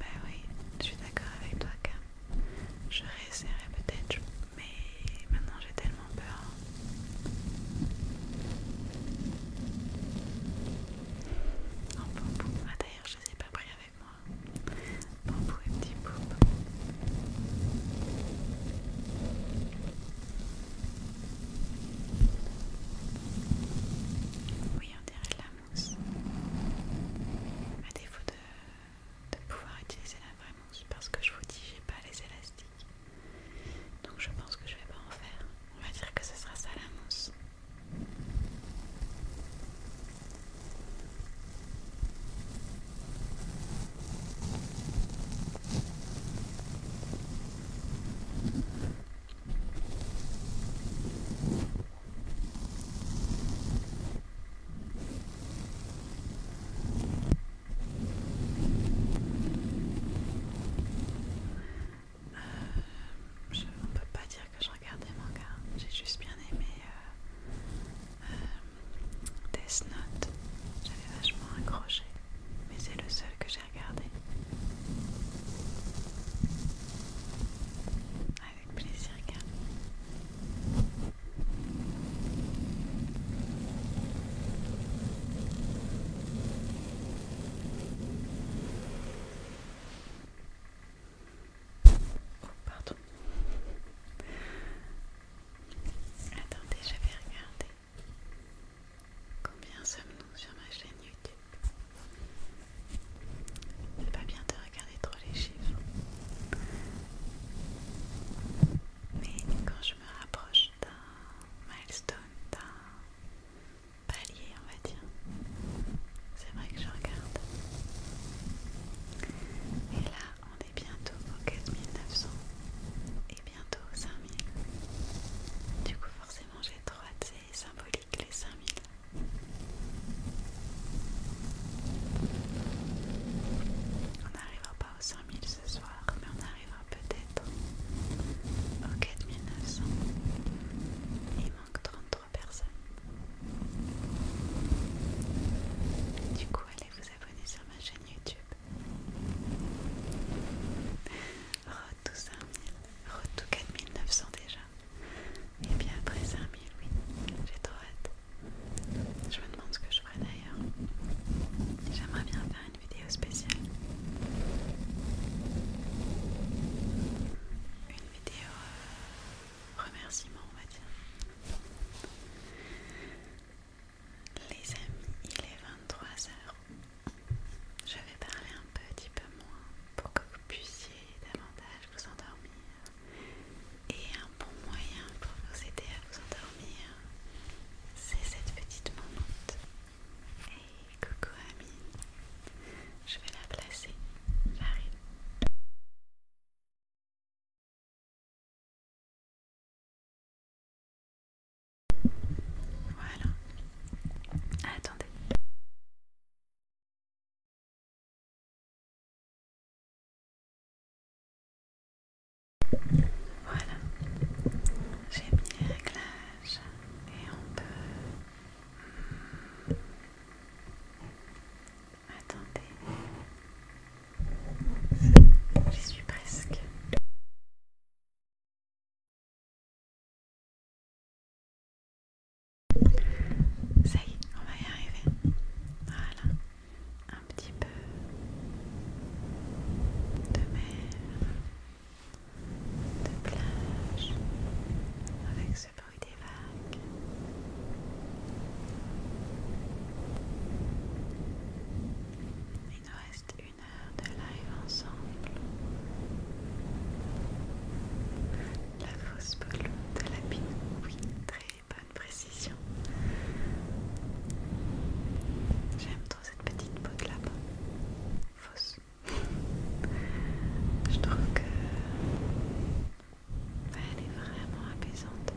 Bah oui, je suis d'accord avec toi, Cam. Je réessayerai peut-être, mais maintenant j'ai tellement peur. Ah, d'ailleurs, je ne les ai pas pris avec bon moi. et petit poup. Oui, on dirait de la mousse. À défaut de, de pouvoir utiliser la vraie mousse, parce que je vous dis, j'ai pas les élastiques. Donc je pense que je vais pas en faire. On va dire que ce sera ça la mousse. Euh, je, ne peut pas dire que je regarde des J'ai juste bien aimé euh, euh, des J'avais vachement accroché, mais c'est le seul que j'ai regardé. Avec plaisir, Oh, pardon. Attendez, j'avais regardé Combien sommes-nous sur ma chaîne YouTube C'est pas bien de regarder trop les chiffres. Mais quand je me rapproche d'un milestone, d'un palier on va dire. C'est vrai que je regarde. Et là, on est bientôt aux 4900 et bientôt aux 5000. Du coup, forcément, j'ai trop hâte, c'est symbolique les 5000. On n'arrivera pas aux 5000 ce soir, mais on arrivera peut-être aux 4900. Il manque 30 personne. personnes. Du coup, allez vous abonner sur ma chaîne YouTube. tout 5000, retour 4900 déjà. Et bien après 5000, oui, j'ai trop hâte. Je me demande ce que je ferai d'ailleurs. J'aimerais bien faire une vidéo spéciale. Une vidéo euh, remerciement on va dire. Les amis, il est 23h. Je vais parler un petit peu moins pour que vous puissiez davantage vous endormir. Et un bon moyen pour vous aider à vous endormir, c'est cette petite momente. et coucou Amine je vais la placer. J'arrive. Voilà. Attendez. Voilà. J'ai mis les réglages et on peut... Hmm, Attendez, j'y suis presque. Ça y est, on va y arriver. Voilà, un petit peu de mer, de plage, avec bruit des vagues. Il nous reste une heure de live ensemble. La fausse peau de la pine, oui, très bonne précision. J'aime trop cette petite peau de là-bas. Fausse. Je trouve que elle est vraiment apaisante.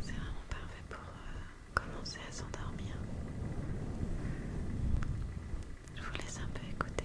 C'est vraiment parfait pour euh, commencer à s'endormir. Je vous laisse un peu écouter.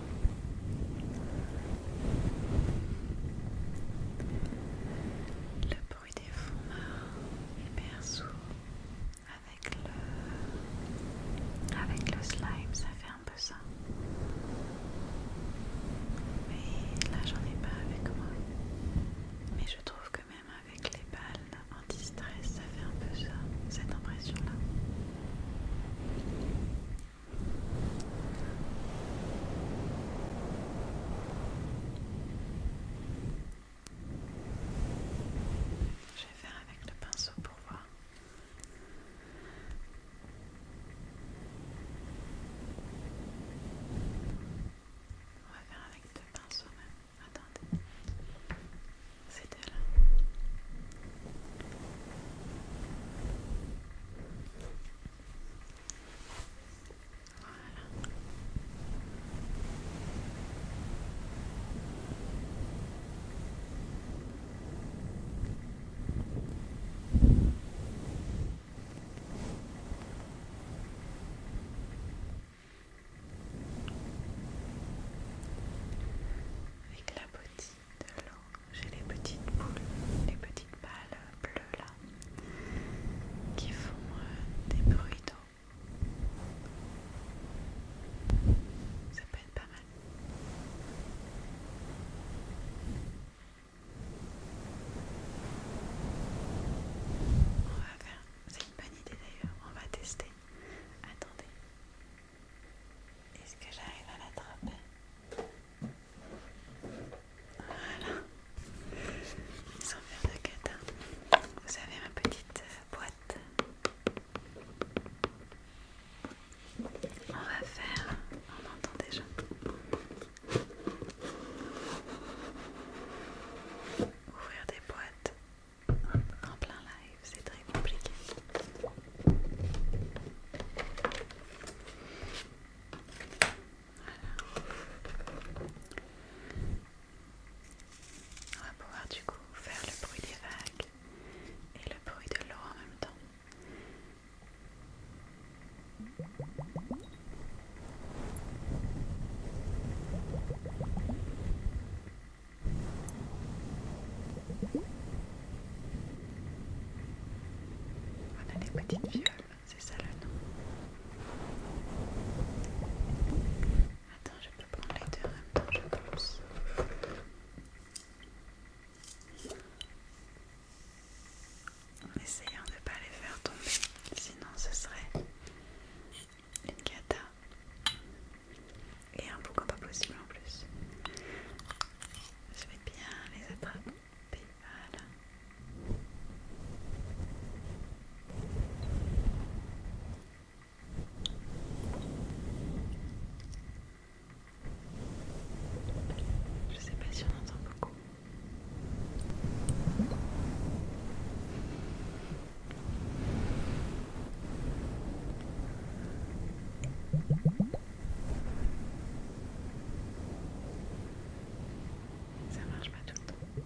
Le bruit des fonds marins hyper sourd avec le, avec le slime, ça fait un peu ça. Mais là, j'en ai pas avec moi. Mais je trouve que même avec les balles anti-stress, ça fait un peu ça, cette impression-là. Je vais faire avec le pinceau pour voir. On va faire avec deux pinceaux même. Attendez. C'était là. Avec la boutique de l'eau. J'ai les petites boules, les petites balles bleues là, qui font euh, des bruits d'eau. Ça peut être pas mal. On va faire, c'est une bonne idée d'ailleurs, on va tester. Attendez, est-ce que j'arrive à l'attraper voilà. Sans faire de gâteau. Vous avez ma petite euh, boîte. On va faire. On entend déjà. Ouvrir des boîtes en plein live, c'est très compliqué. On va pouvoir du coup faire le bruit des vagues et le bruit de l'eau en même temps. On a des petites violes, c'est ça le nom. Attends, je peux prendre les deux en même temps, je pense. En essayant de ne pas les faire tomber, sinon ce serait une cata. Et un boucan pas possible en plus. Je vais bien les attraper. Je sais pas si on entend beaucoup. Ça marche pas tout le temps.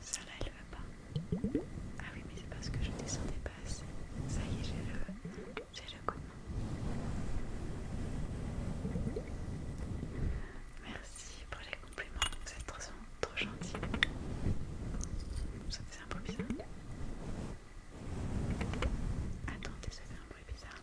Ça là elle va pas. Ah oui, mais c'est parce que je descendais pas assez. Ça y est, j'ai le, j'ai le coup Merci pour les compliments, vous êtes trop, trop gentils. Ça faisait un bruit bizarre. Attendez, ça fait un bruit bizarre.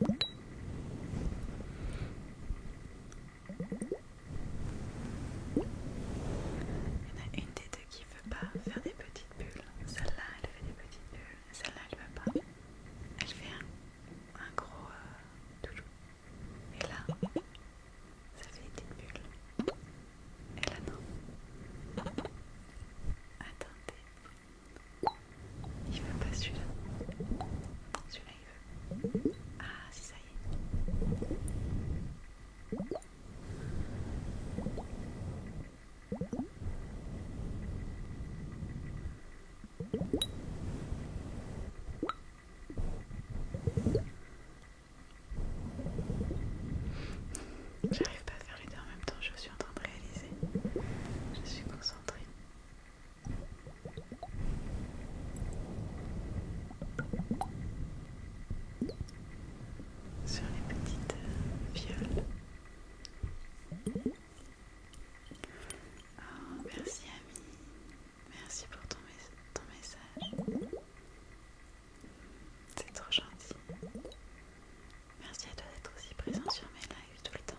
Il y en a une des deux qui veut pas faire des petites bulles. Celle-là, elle fait des petites bulles. Celle-là, elle veut pas. Elle fait un, gros tout euh, Et là, ça fait des petites bulles. Et là, non. Attendez, il veut pas celui-là. Celui-là il veut. Ah si ça y est. J'arrive pas à faire les deux en même temps, je suis en train de réaliser. Je suis concentrée sur les petites violes. Oh, merci ami, merci pour ton message. C'est trop gentil. Merci à toi d'être aussi présent sur mes lives tout le temps.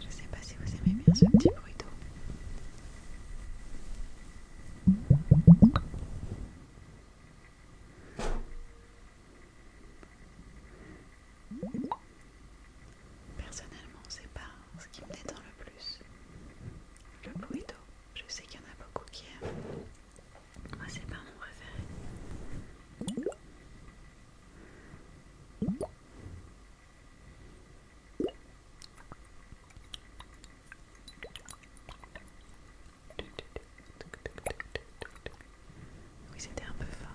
Je sais pas si vous aimez bien ce petit bruit d'eau. Personnellement, c'est pas ce qui me détend le plus. Le bruit d'eau, je sais qu'il y en a beaucoup qui aiment. Ah, c'est pas mon préféré. Oui, c'était un peu fort.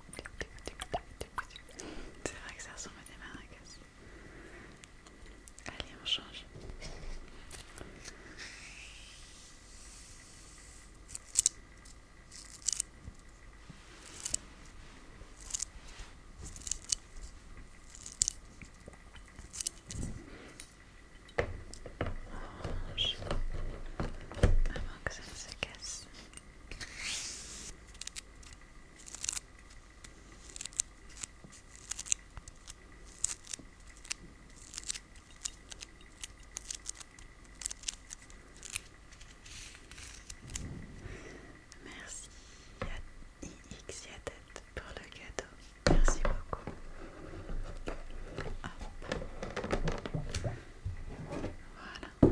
C'est vrai que ça ressemble à des maracas. Allez, on change. Orange avant que ça ne se casse. Merci tête pour le cadeau. Merci beaucoup. On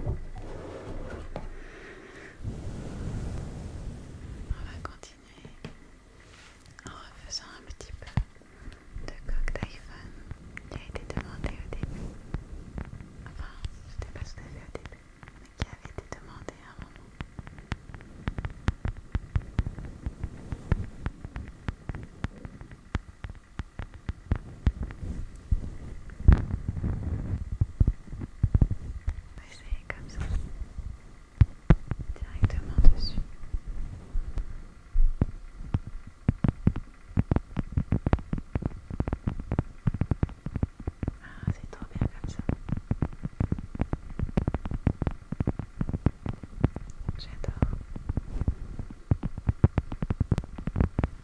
va continuer en refaisant un petit peu de cocktail d'iPhone qui a été demandé au début. Enfin, c'était pas tout à fait au début, mais qui avait été demandé à un moment. Essayez comme ça, directement dessus. Ah, c'est trop bien comme ça. J'adore.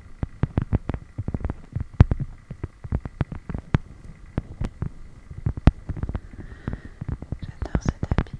J'adore ce tapping.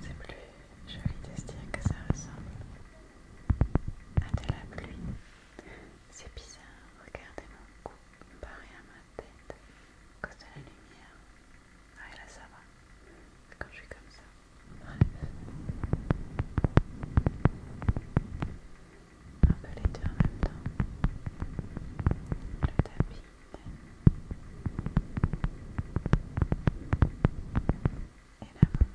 C'est plus joli de se dire que ça ressemble à de la pluie. C'est bizarre, regardez mon cou, comparé à la tête à cause de la lumière. Ah, là ça va. Quand je suis comme ça. Bref. Un peu les deux en même temps. Le tapis. Et la maman.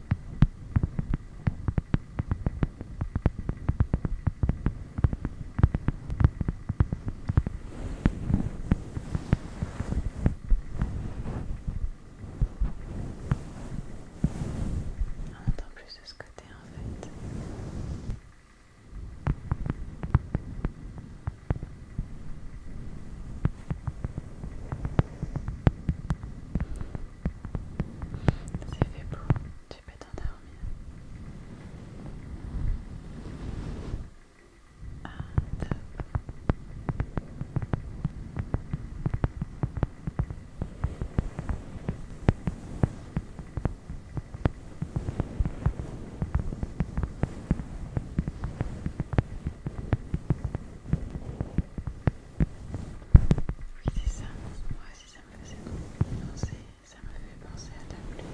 On entend plus de ce côté en fait. C'est fait beau, tu peux t'endormir. Ah, oui, c'est ça. Moi aussi, ça me faisait penser. Ça me fait penser à ta pluie.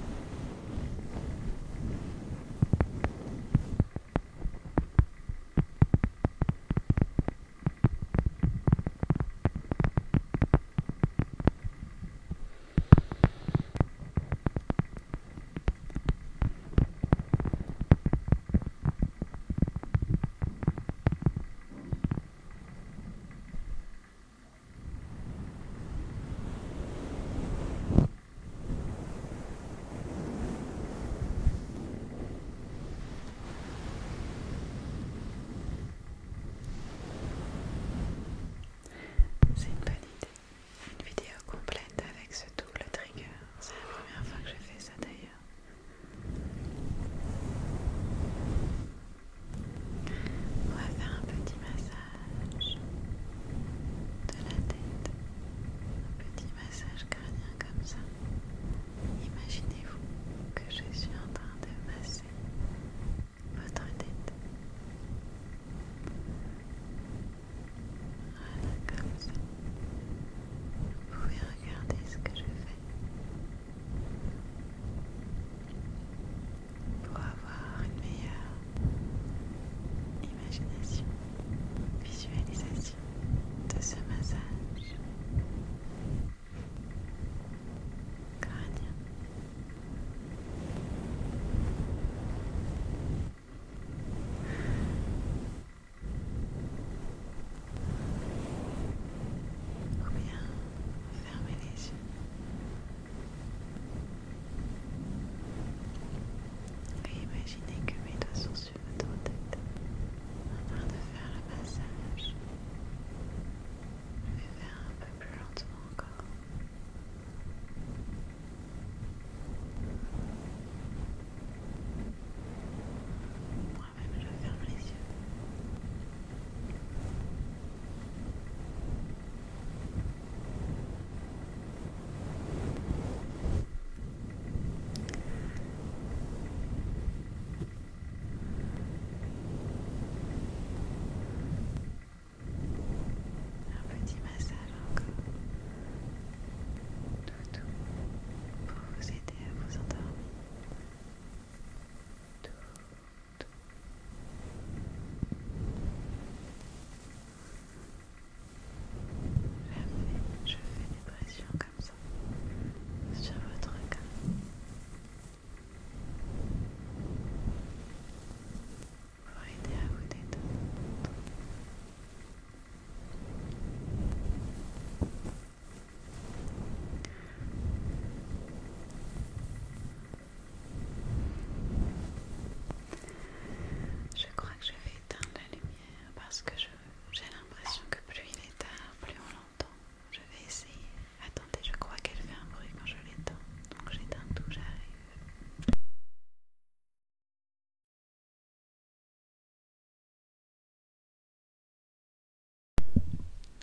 C'est une bonne idée. Une vidéo complète avec ce double trigger. C'est la première fois que je fais ça d'ailleurs. On va faire un petit massage de la tête, un petit massage crânien comme ça. Imaginez-vous que je suis en train de masser votre tête. Voilà, comme ça. Vous pouvez regarder ce que je fais pour avoir une meilleure imagination, visualisation de ce massage crânien ou bien fermez les yeux. Et imaginez que mes doigts sont sur votre tête en train de faire le massage. Je vais faire un peu plus lentement encore. Moi-même, je ferme les yeux. Un petit massage encore pour vous aider à vous endormir. Tout, Jamais je fais des pressions comme ça sur votre corps. Pour aider à vous détendre. Je crois que je vais éteindre la lumière parce que j'ai l'impression que plus il est tard, plus on l'entend. Je vais essayer. Attendez, je crois qu'elle fait un bruit quand je l'éteins. Donc j'éteins tout, j'arrive.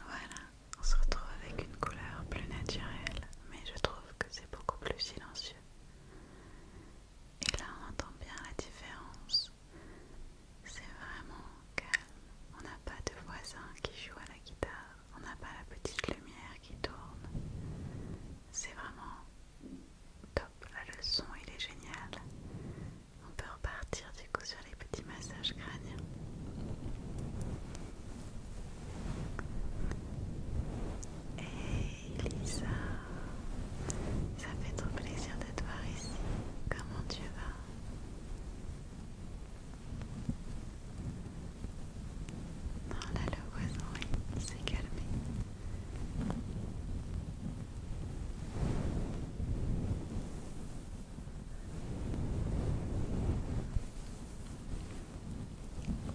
Voilà, on se retrouve avec une couleur plus naturelle, mais je trouve que c'est beaucoup plus silencieux. Et là, on entend bien la différence. C'est vraiment calme. On n'a pas de voisin qui joue à la guitare. On n'a pas la petite lumière qui tourne. C'est vraiment top. La leçon, il est génial. On peut repartir du coup sur les petits massages crâniens. Hey Lisa, ça fait trop plaisir de te voir ici. Comment tu vas non, là le voisin, oui, il s'est calmé.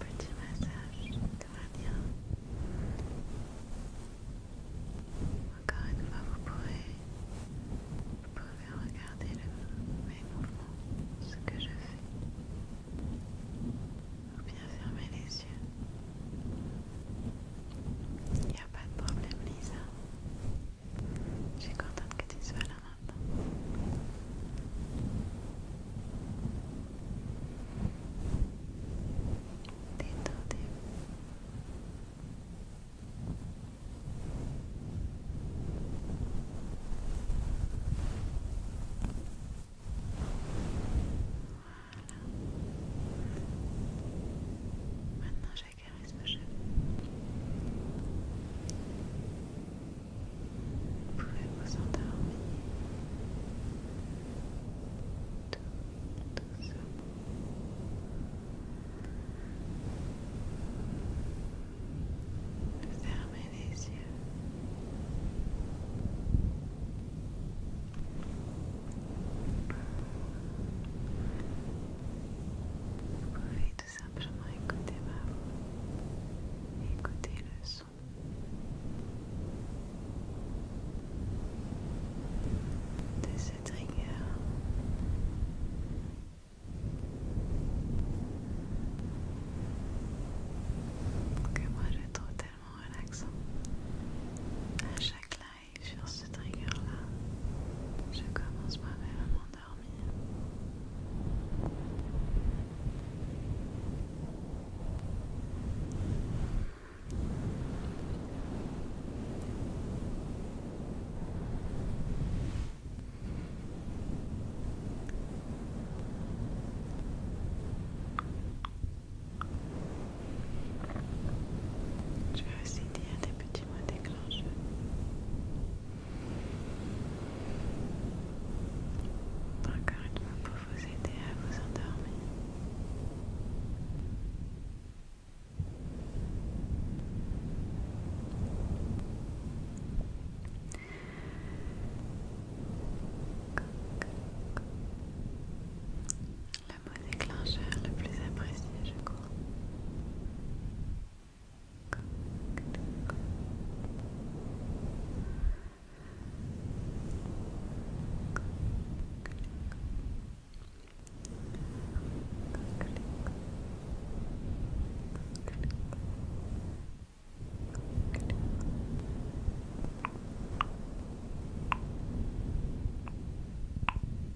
Petit massage, tout Encore une fois, vous pourrez, pouvez regarder mes mouvements, ce que je fais. Ou bien fermer les yeux. Il n'y a pas de problème, Lisa. Je suis contente que tu sois là maintenant. Voilà. Maintenant j'acaresse ma cheveux. Vous pouvez vous endormir. Tout, tout ça. Fermez les yeux. Vous pouvez tout simplement écouter ma voix, écouter le son. De cette rigueur Que moi je trouve tellement relaxant à chaque linge sur ce trigger-là. Je commence moi-même à m'endormir. Je vais aussi dire des petits mots déclencheurs. Encore une fois pour vous aider à vous endormir le le plus apprécié, je crois.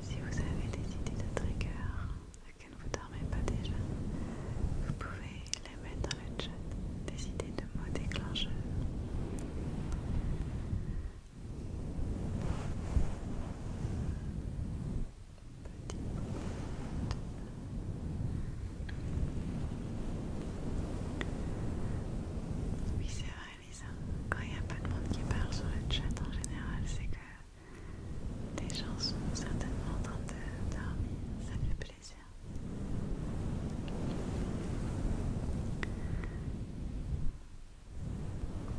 Si vous avez des idées de trigger que ne vous dormez pas déjà, vous pouvez les mettre dans le chat, le mot Petit oui, c'est vrai, Lisa. Quand il n'y a pas de monde qui parle sur le chat en général, c'est que des gens sont certainement en train de dormir. Ça fait plaisir.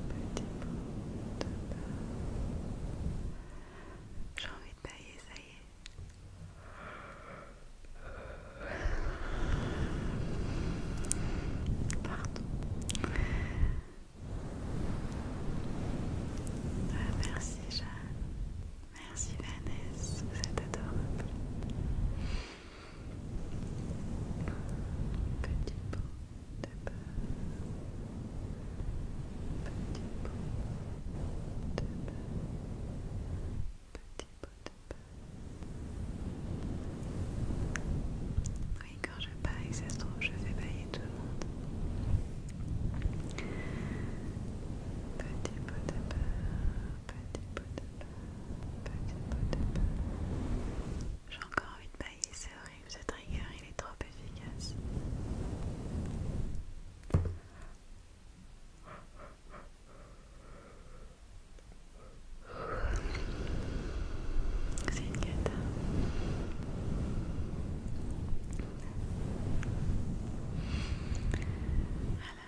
Petit de J'ai envie de bailler, ça y est. Pardon. Ah, merci Jeanne. Merci Vanessa. Vous êtes adorable. Petit pot de beurre. Petit pot de beurre. Petit pot de beurre. Oui, quand je paye, ça se trouve, je vais bailler tout le monde. Petit pot de beurre. Petit pot de beurre. J'ai encore envie de bailler, c'est horrible ce trigger, il est trop efficace. C'est une gâte Voilà.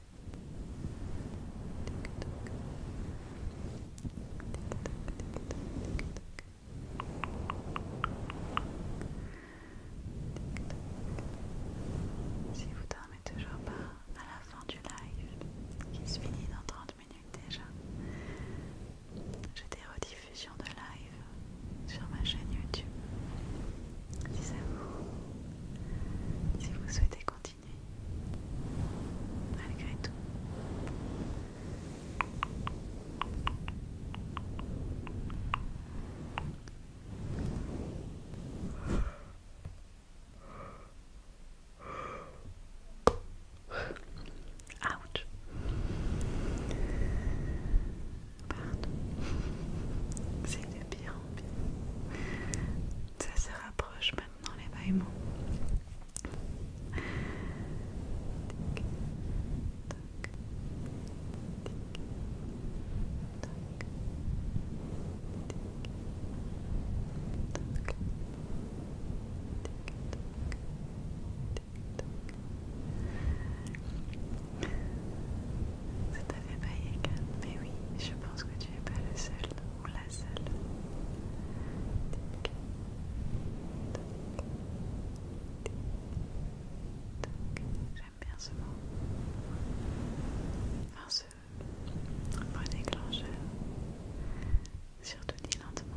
Si vous dormez toujours pas à la fin du live, qui se finit dans 30 minutes déjà, j'ai des rediffusions de live sur ma chaîne YouTube. Si vous, si vous souhaitez continuer malgré Ouch. C'est le pire en Ça se rapproche maintenant non Ça t'avait payé, mais oui, je pense que tu n'es pas le seul J'aime bien ce mot, un seul, un surtout dit lentement.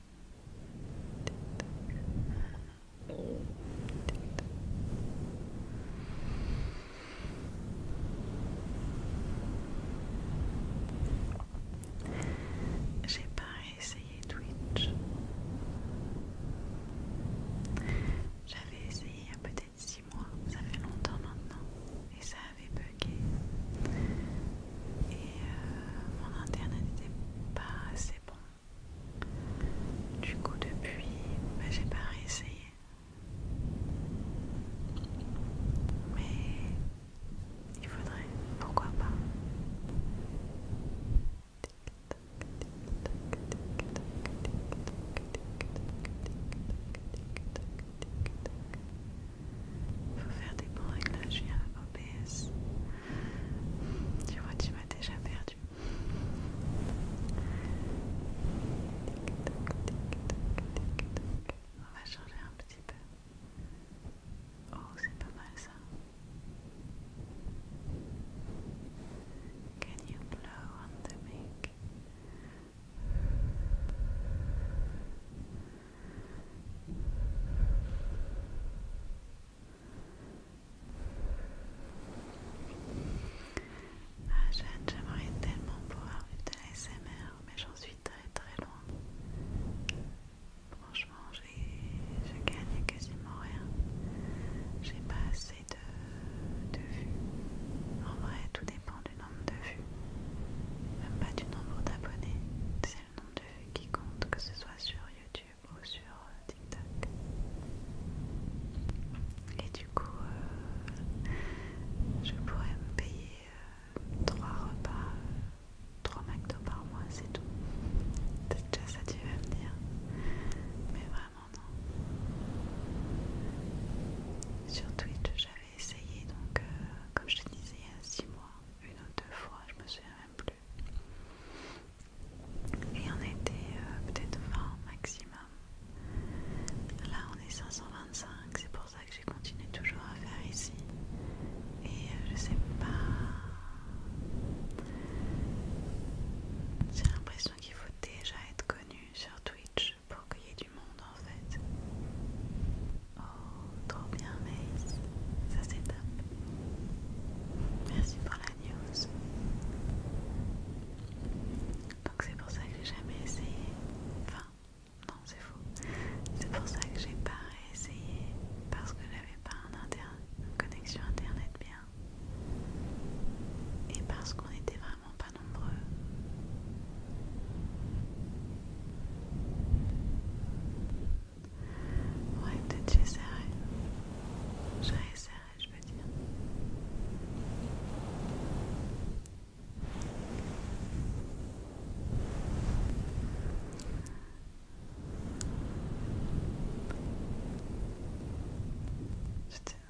J'ai pas essayé Twitch. J'avais essayé il y a peut-être six mois, ça fait longtemps maintenant, et ça avait bugué et euh, mon internet n'était pas assez bon. Du coup, depuis, bah, j'ai pas réessayé. Mais il faudrait, pourquoi pas. il Faut faire des bons réglages la OBS. Tu vois, tu m'as déjà perdu. On va changer un petit peu. Oh, c'est pas mal ça. Can you blow on the mic? Ah Jeanne, j'aimerais tellement pouvoir vivre de la SMR, mais j'en suis très très loin. Franchement, je gagne quasiment rien. J'ai pas assez de, de vues. En vrai, tout dépend du nombre de vues. Même pas du nombre d'abonnés. C'est le nombre de vues qui compte, que ce soit sur YouTube sur euh, TikTok. Et du coup, euh, je pourrais me payer euh, trois 3 repas, 3 McDo par mois, c'est tout. Peut-être déjà ça tu vas me dire. Mais vraiment non. Sur Twitch, j'avais essayé, donc comme je te disais il y a 6 mois, une ou deux fois, je me souviens même plus. Et on était euh, peut-être 20 maximum. Là on est 525, c'est pour ça que j'ai continué toujours à faire ici. Et euh, je sais pas... J'ai l'impression qu'il faut déjà être connu sur Twitch pour qu'il y ait du monde en fait. Oh trop bien mais ça c'est top. Merci pour la news. Donc c'est pour ça que j'ai jamais essayé. Enfin, non c'est faux. C'est pour ça que j'ai pas essayé parce que j'avais pas une connexion internet bien. Et parce qu'on était vraiment pas nombreux. Ouais, peut-être j'essaierai. J'essaierai, je veux dire.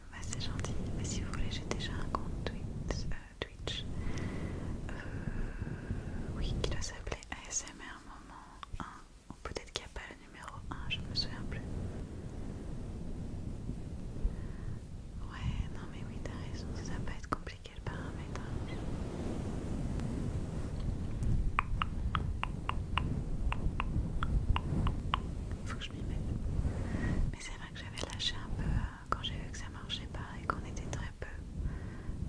Bah, c'est gentil, mais bah, si vous voulez, j'ai déjà un compte Twitch euh, euh oui, qui doit s'appeler ASMR Moment 1 peut-être qu'il n'y a pas le numéro 1, je ne me souviens plus. Ouais, non mais oui, t'as raison, ça va pas être compliqué le Il hein. Faut que je m'y mette. Mais c'est vrai que j'avais lâché un peu euh, quand j'ai vu que ça marchait pas et qu'on était très peu.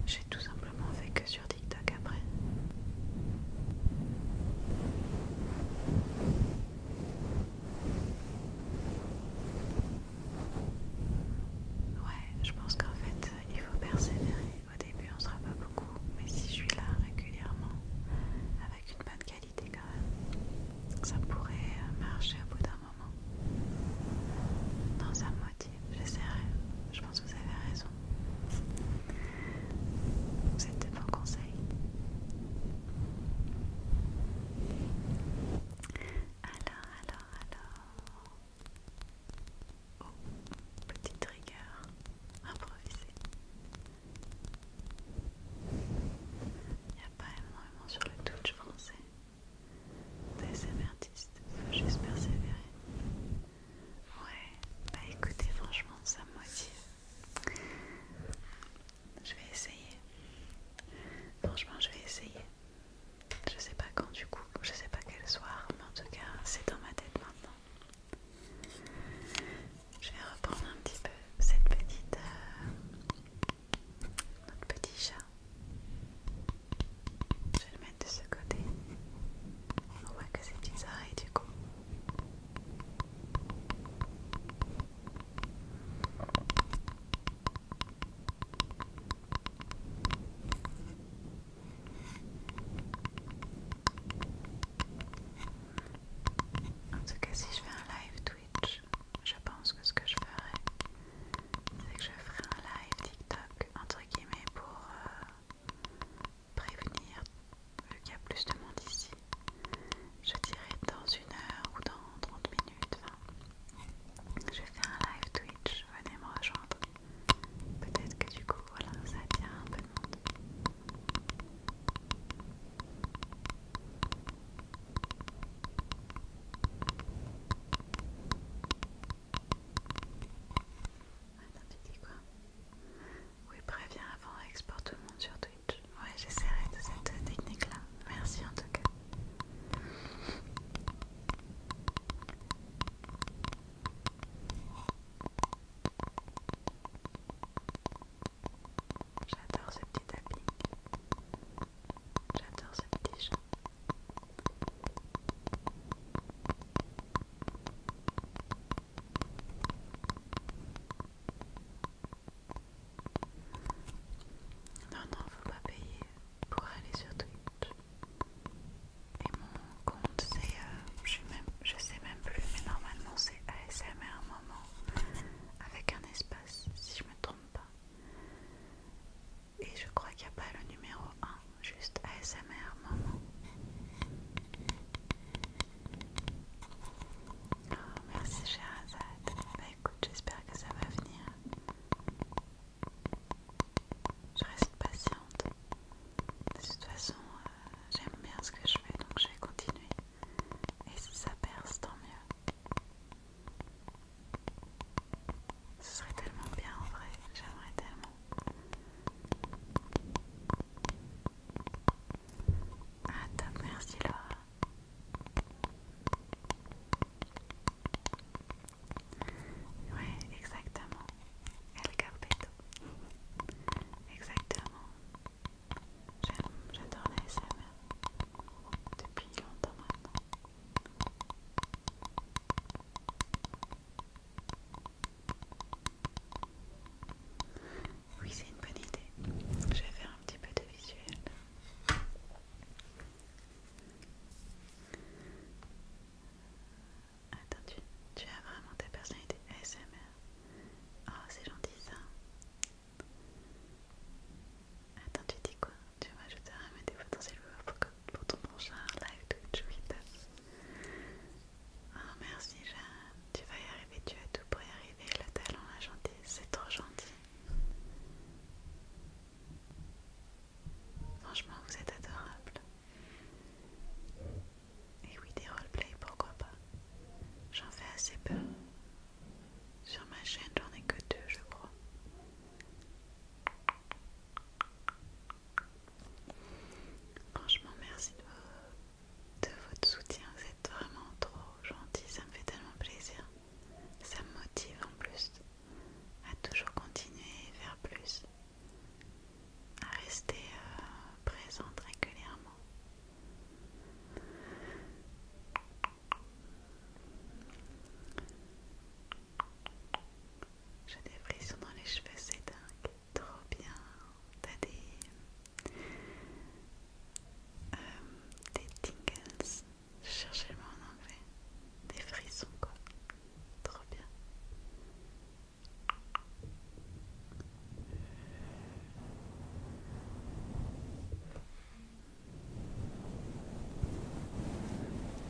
J'ai tout simplement fait que sur TikTok après. Ouais, je pense qu'en fait, il faut persévérer. Au début, on sera pas beaucoup, mais si je suis là régulièrement, avec une bonne qualité quand même, ça pourrait marcher à bout d'un moment. Dans un mois j'essaierai. Je pense que vous avez raison. vous êtes C'était bon conseil. Alors, alors, alors. Oh, petite rigueur improvisé. Il n'y a pas énormément sur le touch français. Des il faut juste persévérer. Ouais, bah écoutez, franchement, ça me motive. Je vais essayer. Franchement, je vais essayer. Je sais pas quand du coup, je sais pas quel soir, mais en tout cas, c'est dans ma tête maintenant. Je vais reprendre un petit peu cette petite. Euh, notre petit chat de ce côté. On voit que c'est petites oreilles du coup. En tout cas, si je fais un live Twitch, je pense que ce que je ferais c'est que je ferai un live TikTok entre guillemets pour euh, prévenir, vu qu'il y a plus de monde ici. Je dirais dans une heure ou dans 30 minutes. Enfin, je fais un live Twitch, venez me rejoindre. Peut-être que du coup, voilà, ça attire un peu de monde. Attends, ah, tu dis quoi Oui, préviens avant, exporte tout le monde sur Twitch. Ouais, j'essaierai de cette euh, technique-là. Merci en tout cas. J'adore ce petit tapping. J'adore ce petit chant. Non, non, faut pas payer pour aller sur Twitch. Et mon compte, c'est. Euh, je, sais même plus, mais normalement, c'est un Moment avec un espace, si je me trompe pas. Et je crois qu'il n'y a pas le numéro 1 juste ASMR maman Oh, merci chère Bah écoute, j'espère que ça va venir. Je reste patiente. De toute façon, euh, j'aime bien ce que je fais, donc je vais continuer. Et si ça perce, tant mieux. Ce serait tellement bien en vrai. J'aimerais tellement ah top, merci Laura. Ouais, exactement. El Carpeto. Exactement. J'adore la SMR depuis longtemps maintenant. Oui, c'est une bonne idée. Je vais faire un petit peu de visuel. Attends, tu, tu as vraiment ta personnalité ASMR. Oh, c'est gentil ça. Attends, tu dis quoi Tu vas à un des potentiels pour, pour ton prochain live Twitch, Oh merci Jeanne, tu vas y arriver, tu as tout pour y arriver, le talent, la gentillesse, c'est trop gentil. Franchement, vous êtes adorable. Et oui, des roleplays, pourquoi pas. J'en fais assez peu. Sur ma chaîne, j'en ai que deux, je crois. Franchement, merci de, de votre soutien. Vous êtes vraiment trop gentil. Ça me fait tellement plaisir. Ça me motive en plus à toujours continuer et faire plus. À rester euh, présente régulièrement. J'ai des frissons dans les cheveux, c'est dingue. Trop bien t'as des, euh, des tingles, je le mot en anglais, des frissons quoi, trop bien.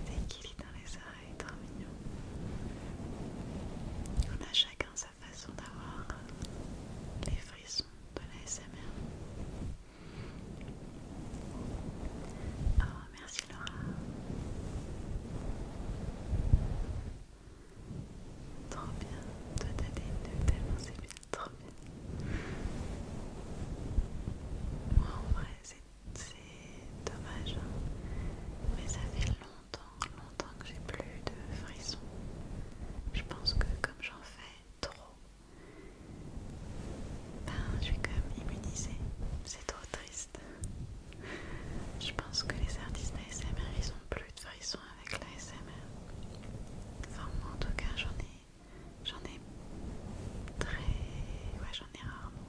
Des guillis dans les oreilles, trop mignon. On a chacun sa façon d'avoir euh, les frissons de la SMR. Oh, merci Laura. Trop bien. Toi t'as des tellement c'est bien. Trop bien. Moi en vrai c'est dommage. Hein. Mais ça fait longtemps longtemps, longtemps que j'ai plus de frissons. Je pense que comme j'en fais trop, ben, je suis comme immunisée. C'est trop triste. Je pense que les artistes d'ASMR, ils ont plus de frissons avec l'ASMR. Enfin, moi en tout cas, j'en ai. J'en ai très. Ouais, j'en ai rarement.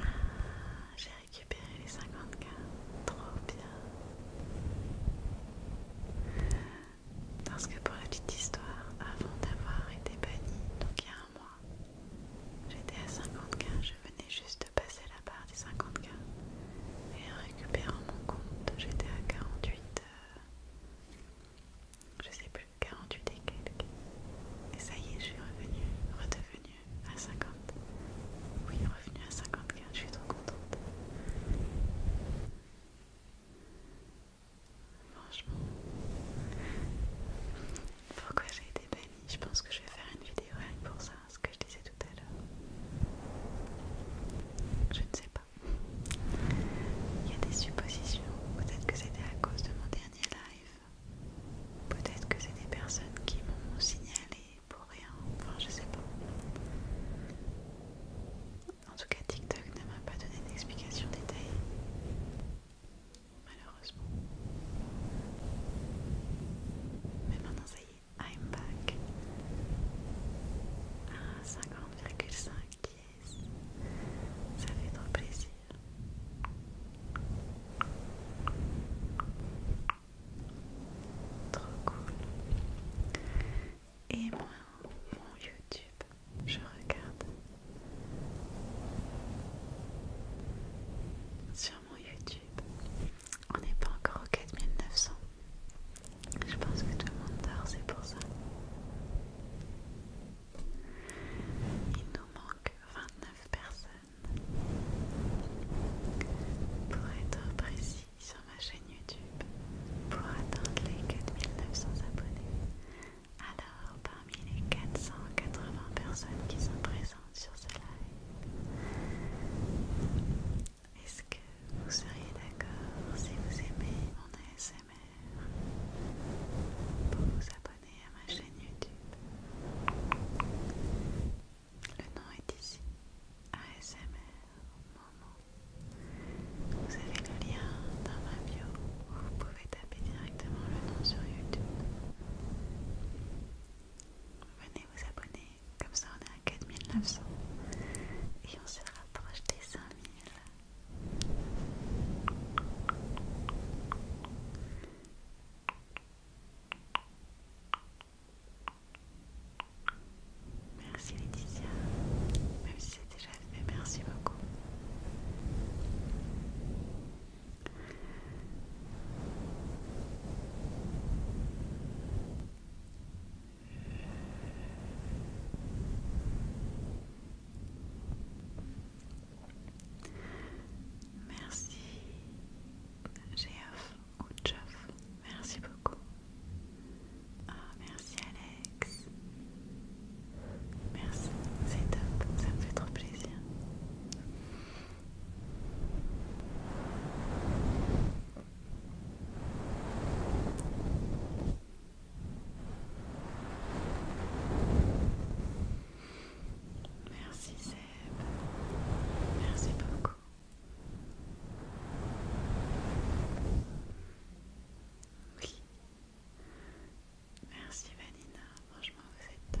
Ah j'ai récupéré les 50k, Trop bien. Parce que pour la petite histoire, avant d'avoir été bannie, donc il y a un mois, j'étais à 50K, je venais juste de passer la barre des 50K. Et en récupérant mon compte, j'étais à 48, euh, je sais plus, 48 et quelques. Et ça y est, je suis revenue, redevenue à 50. Oui, revenu à 54, je suis trop contente. Franchement, pourquoi j'ai été bannie Je pense que je vais faire une vidéo rien pour ça, ce que je disais tout à l'heure. Je ne sais pas. Il y a des suppositions. Peut-être que c'était à cause de mon dernier live Peut-être que c'est des personnes qui m'ont signalé pour rien, enfin je sais pas. En tout cas, TikTok ne m'a pas donné d'explication détaillée, malheureusement. Mais maintenant, ça y est, I'm back à ah, 50,5 yes. Ça fait trop plaisir. Trop cool. Et moi, mon YouTube, je regarde sur mon YouTube. On n'est pas encore au 4900. Je pense que tout le monde dort, c'est pour ça. Il nous manque 29 personnes. Pour être précis sur ma chaîne YouTube, pour atteindre les 4900 abonnés, alors parmi les 480 personnes qui sont présentes sur ce live, est-ce que vous seriez d'accord si vous aimez mon ASMR pour vous abonner à ma chaîne YouTube. Le nom est ici, ASMR Moment. Vous avez le lien dans ma bio vous pouvez taper directement le nom sur YouTube. Venez vous abonner, comme ça on est à 4900 et on se rapproche des 5000. Merci Laetitia, même si c'est déjà fait, merci beaucoup. Merci, Geoff ou Merci beaucoup. Ah, merci Alex. Merci, c'est top, ça me fait trop plaisir. Merci Seb. Merci beaucoup. Oui. Merci Vanina, franchement vous êtes top.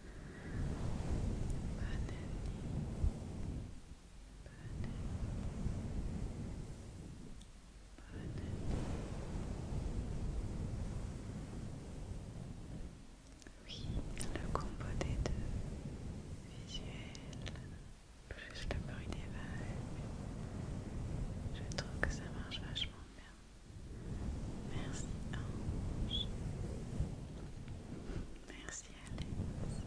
Bonne Bonne Bonne Oui, le combo des deux visuels plus le bruit des vagues. Je trouve que ça marche vachement bien. Merci Merci Alex.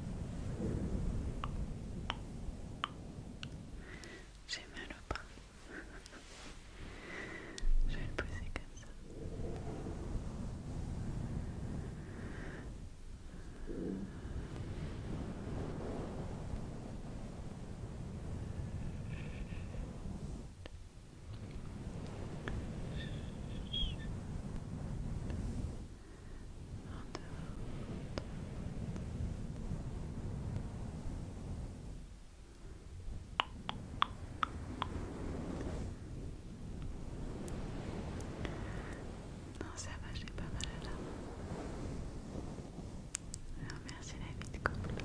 J'ai mal au bras. Je vais le poser comme ça. Non, ça va, j'ai pas mal à la merci la vie de couple.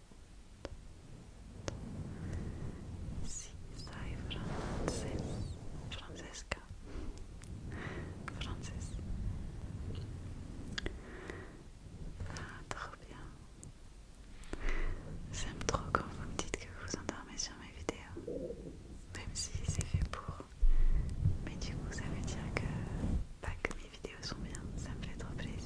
Si ça est Francesca, Frances. Ah, trop bien. J'aime trop quand vous me dites que vous vous endormez sur mes vidéos, même si c'est fait pour. Mais du coup, ça veut dire que pas que mes vidéos sont bien, ça me fait trop plaisir.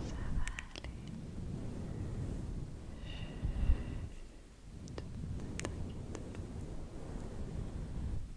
Ça va aller.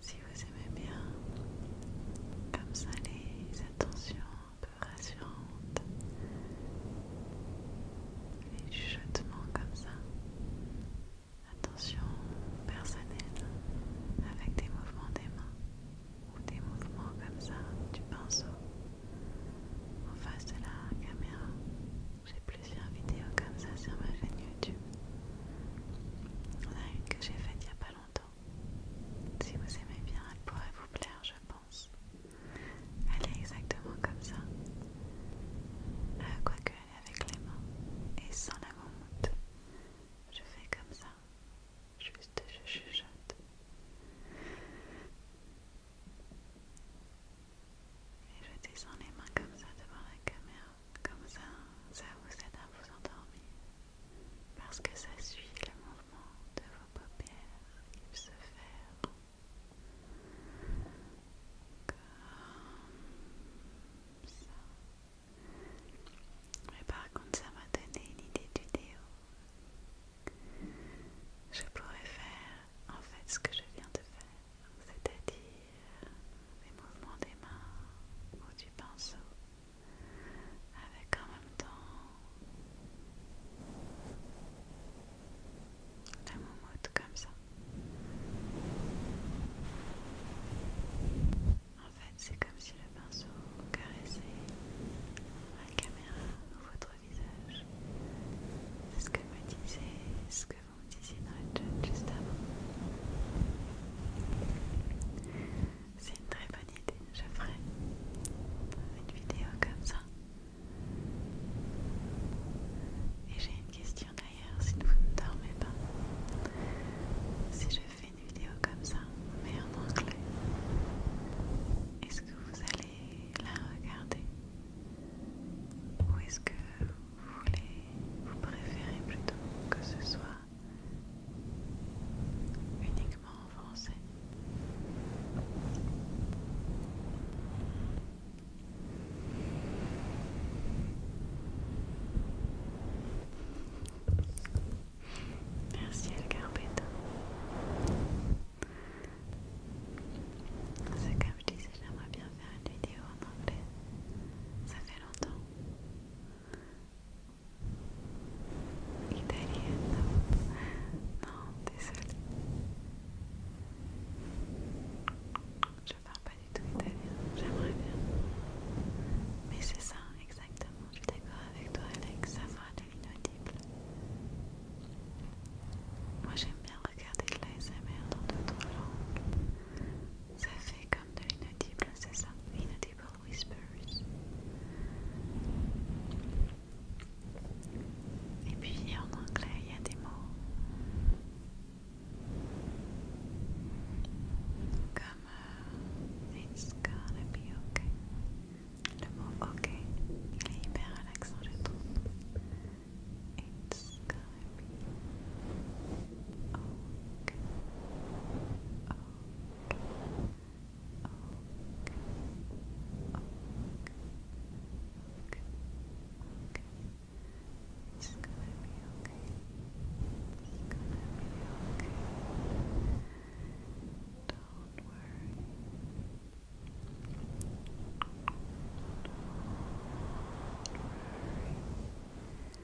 Si vous aimez bien, comme ça les attentions un peu rassurantes, les chuchotements comme ça, attention personnelle, avec des mouvements des mains ou des mouvements comme ça du pinceau en face de la caméra. J'ai plusieurs vidéos comme ça sur ma chaîne YouTube. que j'ai faite il n'y a pas longtemps si vous aimez bien, elle pourrait vous plaire, je pense. Elle est exactement comme ça. Euh, quoique elle est avec les mains et sans la moumoute. Je fais comme ça. Juste je chuchote. Et je descends les mains comme ça devant la caméra. Comme ça, ça vous aide à vous endormir parce que ça suit le mouvement de vos paupières qui se ferment. Comme ça. Mais par contre, ça m'a donné une idée du vidéo. Je pourrais faire en fait ce que je viens de faire, c'est-à-dire les mouvements des mains ou du pinceau avec en même temps la moumoute comme ça. En fait, c'est comme si le pinceau caressait la caméra ou votre visage. C'est ce que me disiez, ce que vous me disiez dans juste avant. C'est une très bonne idée. Je ferai une vidéo comme ça. Et j'ai une question d'ailleurs, si vous ne dormez pas, si je fais une vidéo comme ça, mais en anglais, est-ce que vous allez la regarder Ou est-ce que vous voulez, vous préférez plutôt que ce soit uniquement en français. Merci Elgar C'est comme je disais, j'aimerais bien faire une vidéo en anglais. Ça fait longtemps italienne. Non, désolée. Je parle pas du tout italien, j'aimerais bien. Mais c'est ça, exactement. Je suis d'accord avec toi, Alex, ça fera de l'inaudible. Moi j'aime bien regarder de l'ASMR dans d'autres langues. Ça fait comme de l'inaudible, c'est ça Inaudible et puis en anglais, il y a des mots comme euh, It's gonna be okay. Le mot ok, il est hyper relaxant, je trouve. It's gonna be ok, It's gonna be okay. It's gonna be okay. Don't worry.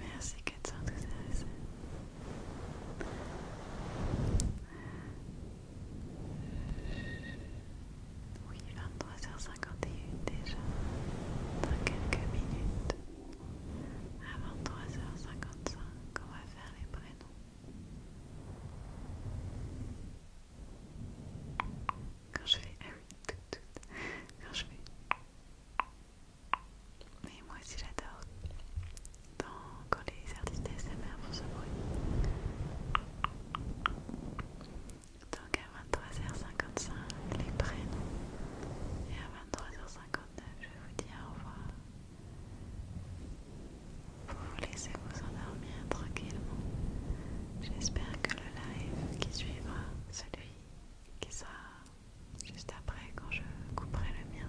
Merci ça. Oui, 23h51 déjà. Dans quelques minutes. À 23h55, on va faire les prénoms. Quand je fais... Ah oui, tout, tout. Quand je fais... Mais moi aussi j'adore quand les artistes ASMR pour ce bruit. Donc à 23h55, les prénoms. Et à 23h59, je vous dis au revoir. Vous vous laissez vous endormir tranquillement. J'espère que le live qui suivra, celui qui sera juste après quand je couperai le mien.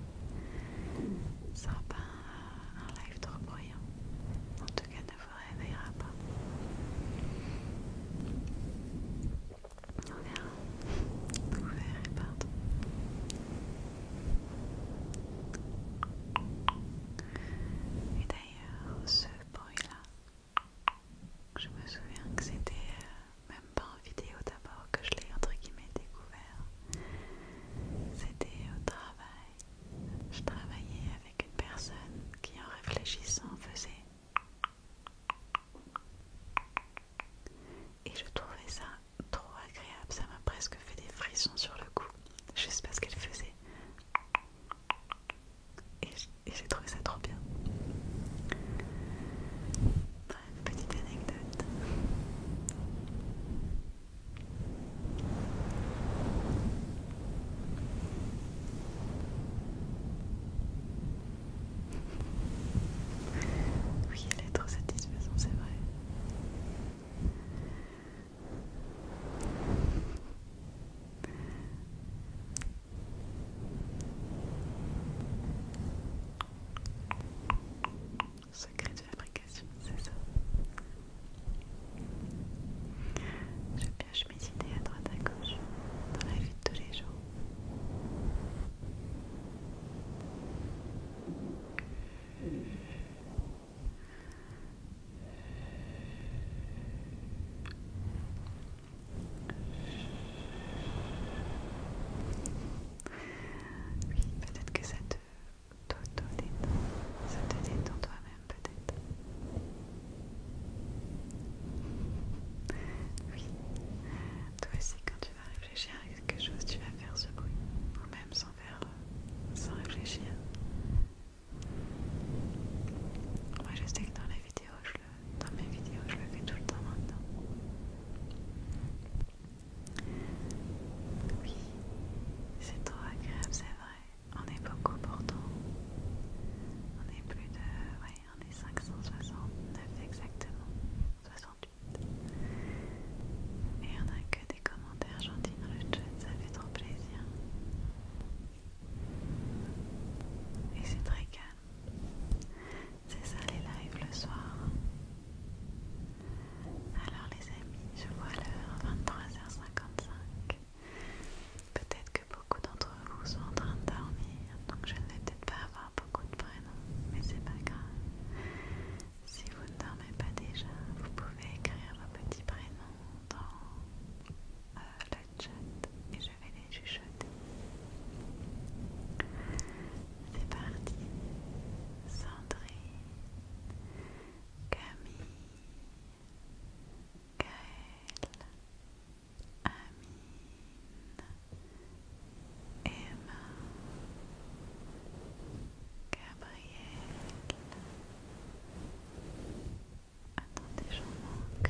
Ce sera pas un, live trop bruyant. En tout cas, ne vous réveillera pas. On verra. Vous verrez, pardon. Et d'ailleurs, ce bruit-là, je me souviens que c'était euh, même pas en vidéo d'abord que je l'ai entre guillemets découvert. C'était au travail. Je travaillais avec une personne qui en réfléchissant faisait et je trouvais ça trop agréable, ça m'a presque fait des frissons sur le cou, juste parce qu'elle faisait et j'ai trouvé ça trop bien. petite anecdote. Oui, elle est trop satisfaisante, c'est vrai. Secret de fabrication, c'est ça. Je pioche mes idées à droite à gauche dans la vie de tous les jours. Oui, peut-être que ça te détend ça te détend toi-même peut-être. Oui, toi aussi quand tu vas réfléchir à quelque chose, tu vas faire ce bruit, ou même sans faire, euh, sans réfléchir. Moi je sais que dans la vidéo je dans mes vidéos, je le fais tout le temps maintenant. Oui, c'est trop agréable, c'est vrai. On est beaucoup pourtant. On est plus de... Ouais, on est 569 exactement. 68. Et on a que des commentaires gentils dans le chat, ça fait trop plaisir. Et c'est très calme. C'est ça les lives le soir. Alors les amis, je vois l'heure 23h55. Peut-être que beaucoup d'entre vous sont en train de dormir, donc je ne vais peut-être pas avoir beaucoup de prénoms, mais c'est pas grave. Si vous ne dormez pas déjà, vous pouvez écrire vos petits prénoms dans euh, le chat et je vais les chuchoter. C'est parti. Sandrine, Camille, Gaëlle, Amine, Emma, Gabrielle. Attendez, j'en manque.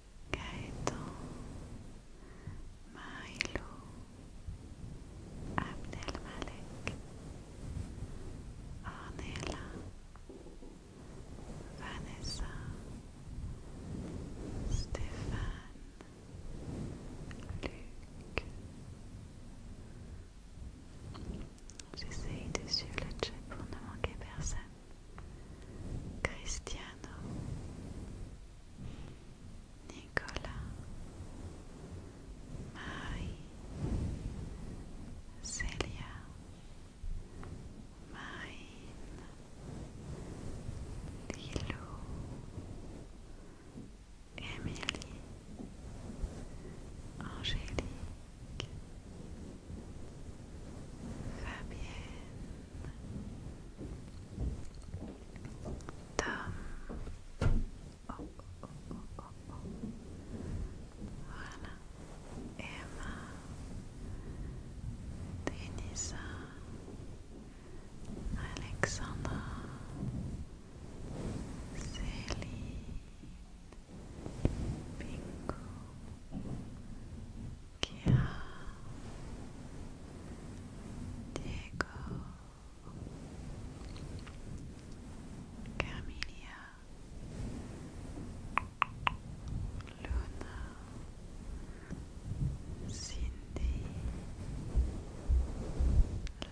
Gaëtan, Maïlo, Abdelmalek, Ornella, Vanessa, Stéphane, Luc. J'essaye de suivre le chat pour ne manquer personne. Cristiano, Nicolas, Marie, Celia, Marine, Lilou, Emilie Angélique, Fabienne, Tam. Oh, Emma. Denisa. Alexandra. Celine. Bingo. Chiara Diego Camilla Luna Cindy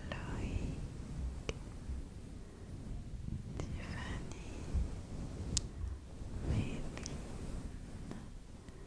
Loic Tiffany Madeline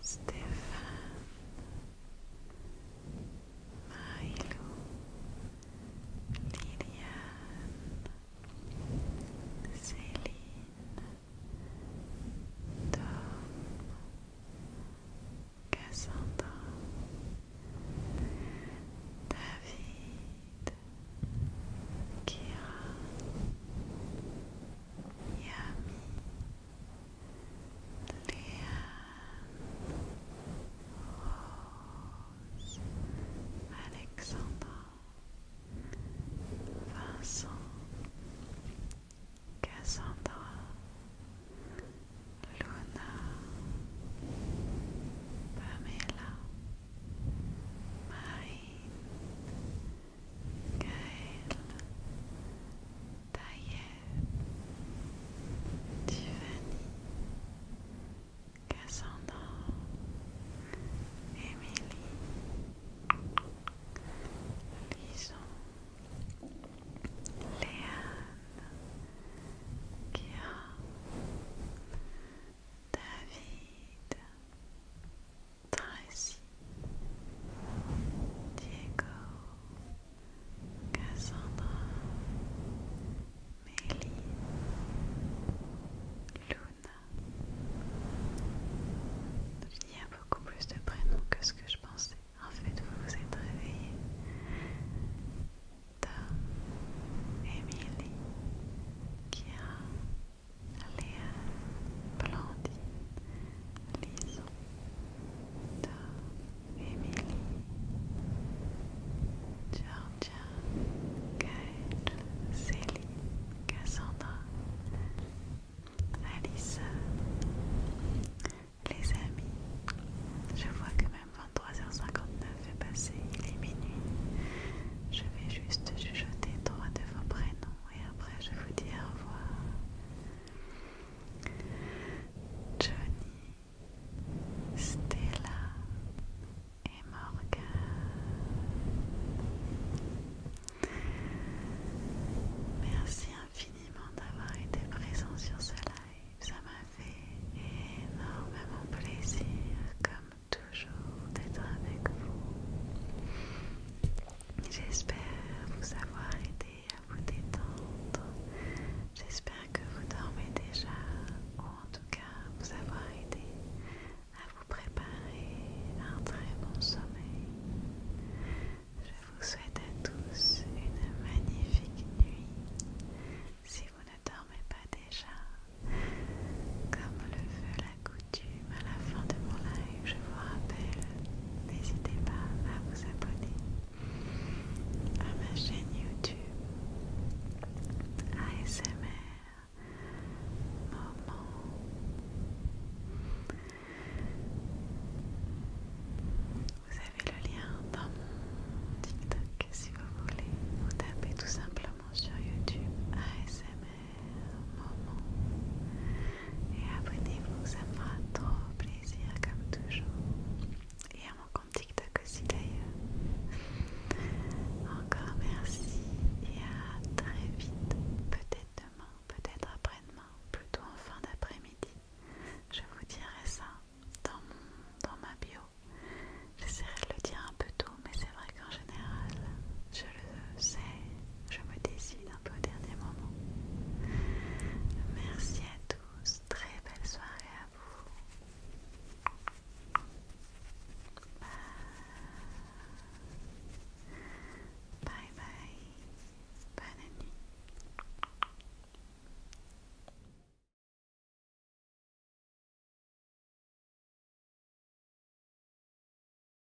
Stefano, Mailo, Liliane, Celina, Tom, Cassandra, David, Kira, Yami. Alexandre Rose, Vincent, Cassandra, Luna, Pamela, Marine, Gaël, Taïeb, Giovanni, Cassandra, Émilie, Lison, Léane, Kia, David, Tracy, Diego, Cassandra, Mélie, Luna. Il y a beaucoup plus de prénoms que ce que je pensais. En fait, vous vous êtes réveillés. Tom, Emily, Kira, Léa, Blandine, Lison, Tom, Emily, Georgia, Céline, Cassandra, Alice, les amis, je vois que même 23h59 est passé, il est minuit. Je vais juste jeter trois de vos prénoms et après je vous dis au revoir. Johnny, Stella et Morgan. Merci infiniment d'avoir été présent sur ce live. Ça m'a fait énormément plaisir, comme toujours, d'être avec vous. J'espère vous avoir aidé à vous détendre. J'espère que vous dormez déjà, ou en tout cas vous avoir aidé à vous préparer un très bon sommeil. Je vous souhaite à tous une magnifique nuit. Si vous ne dormez pas déjà, comme le veut la coutume à la fin de mon live, je vous rappelle, n'hésitez pas à vous abonner à ma chaîne YouTube ASMR Moment. Vous avez le lien dans mon TikTok si vous voulez. Vous tapez tout simplement sur YouTube ASMR Moment et abonnez-vous, ça me fera trop plaisir comme toujours. Et à mon compte TikTok aussi d'ailleurs. Encore merci et à très vite. Peut-être demain, peut-être après-demain, plutôt en fin d'après-midi. Je vous dirai ça dans, dans ma bio. J'essaierai de le dire un peu tôt, mais c'est vrai qu'en général, je le sais, je me décide peu au dernier moment. Merci à tous, très belle soirée à vous. bye, bye. bonne nuit.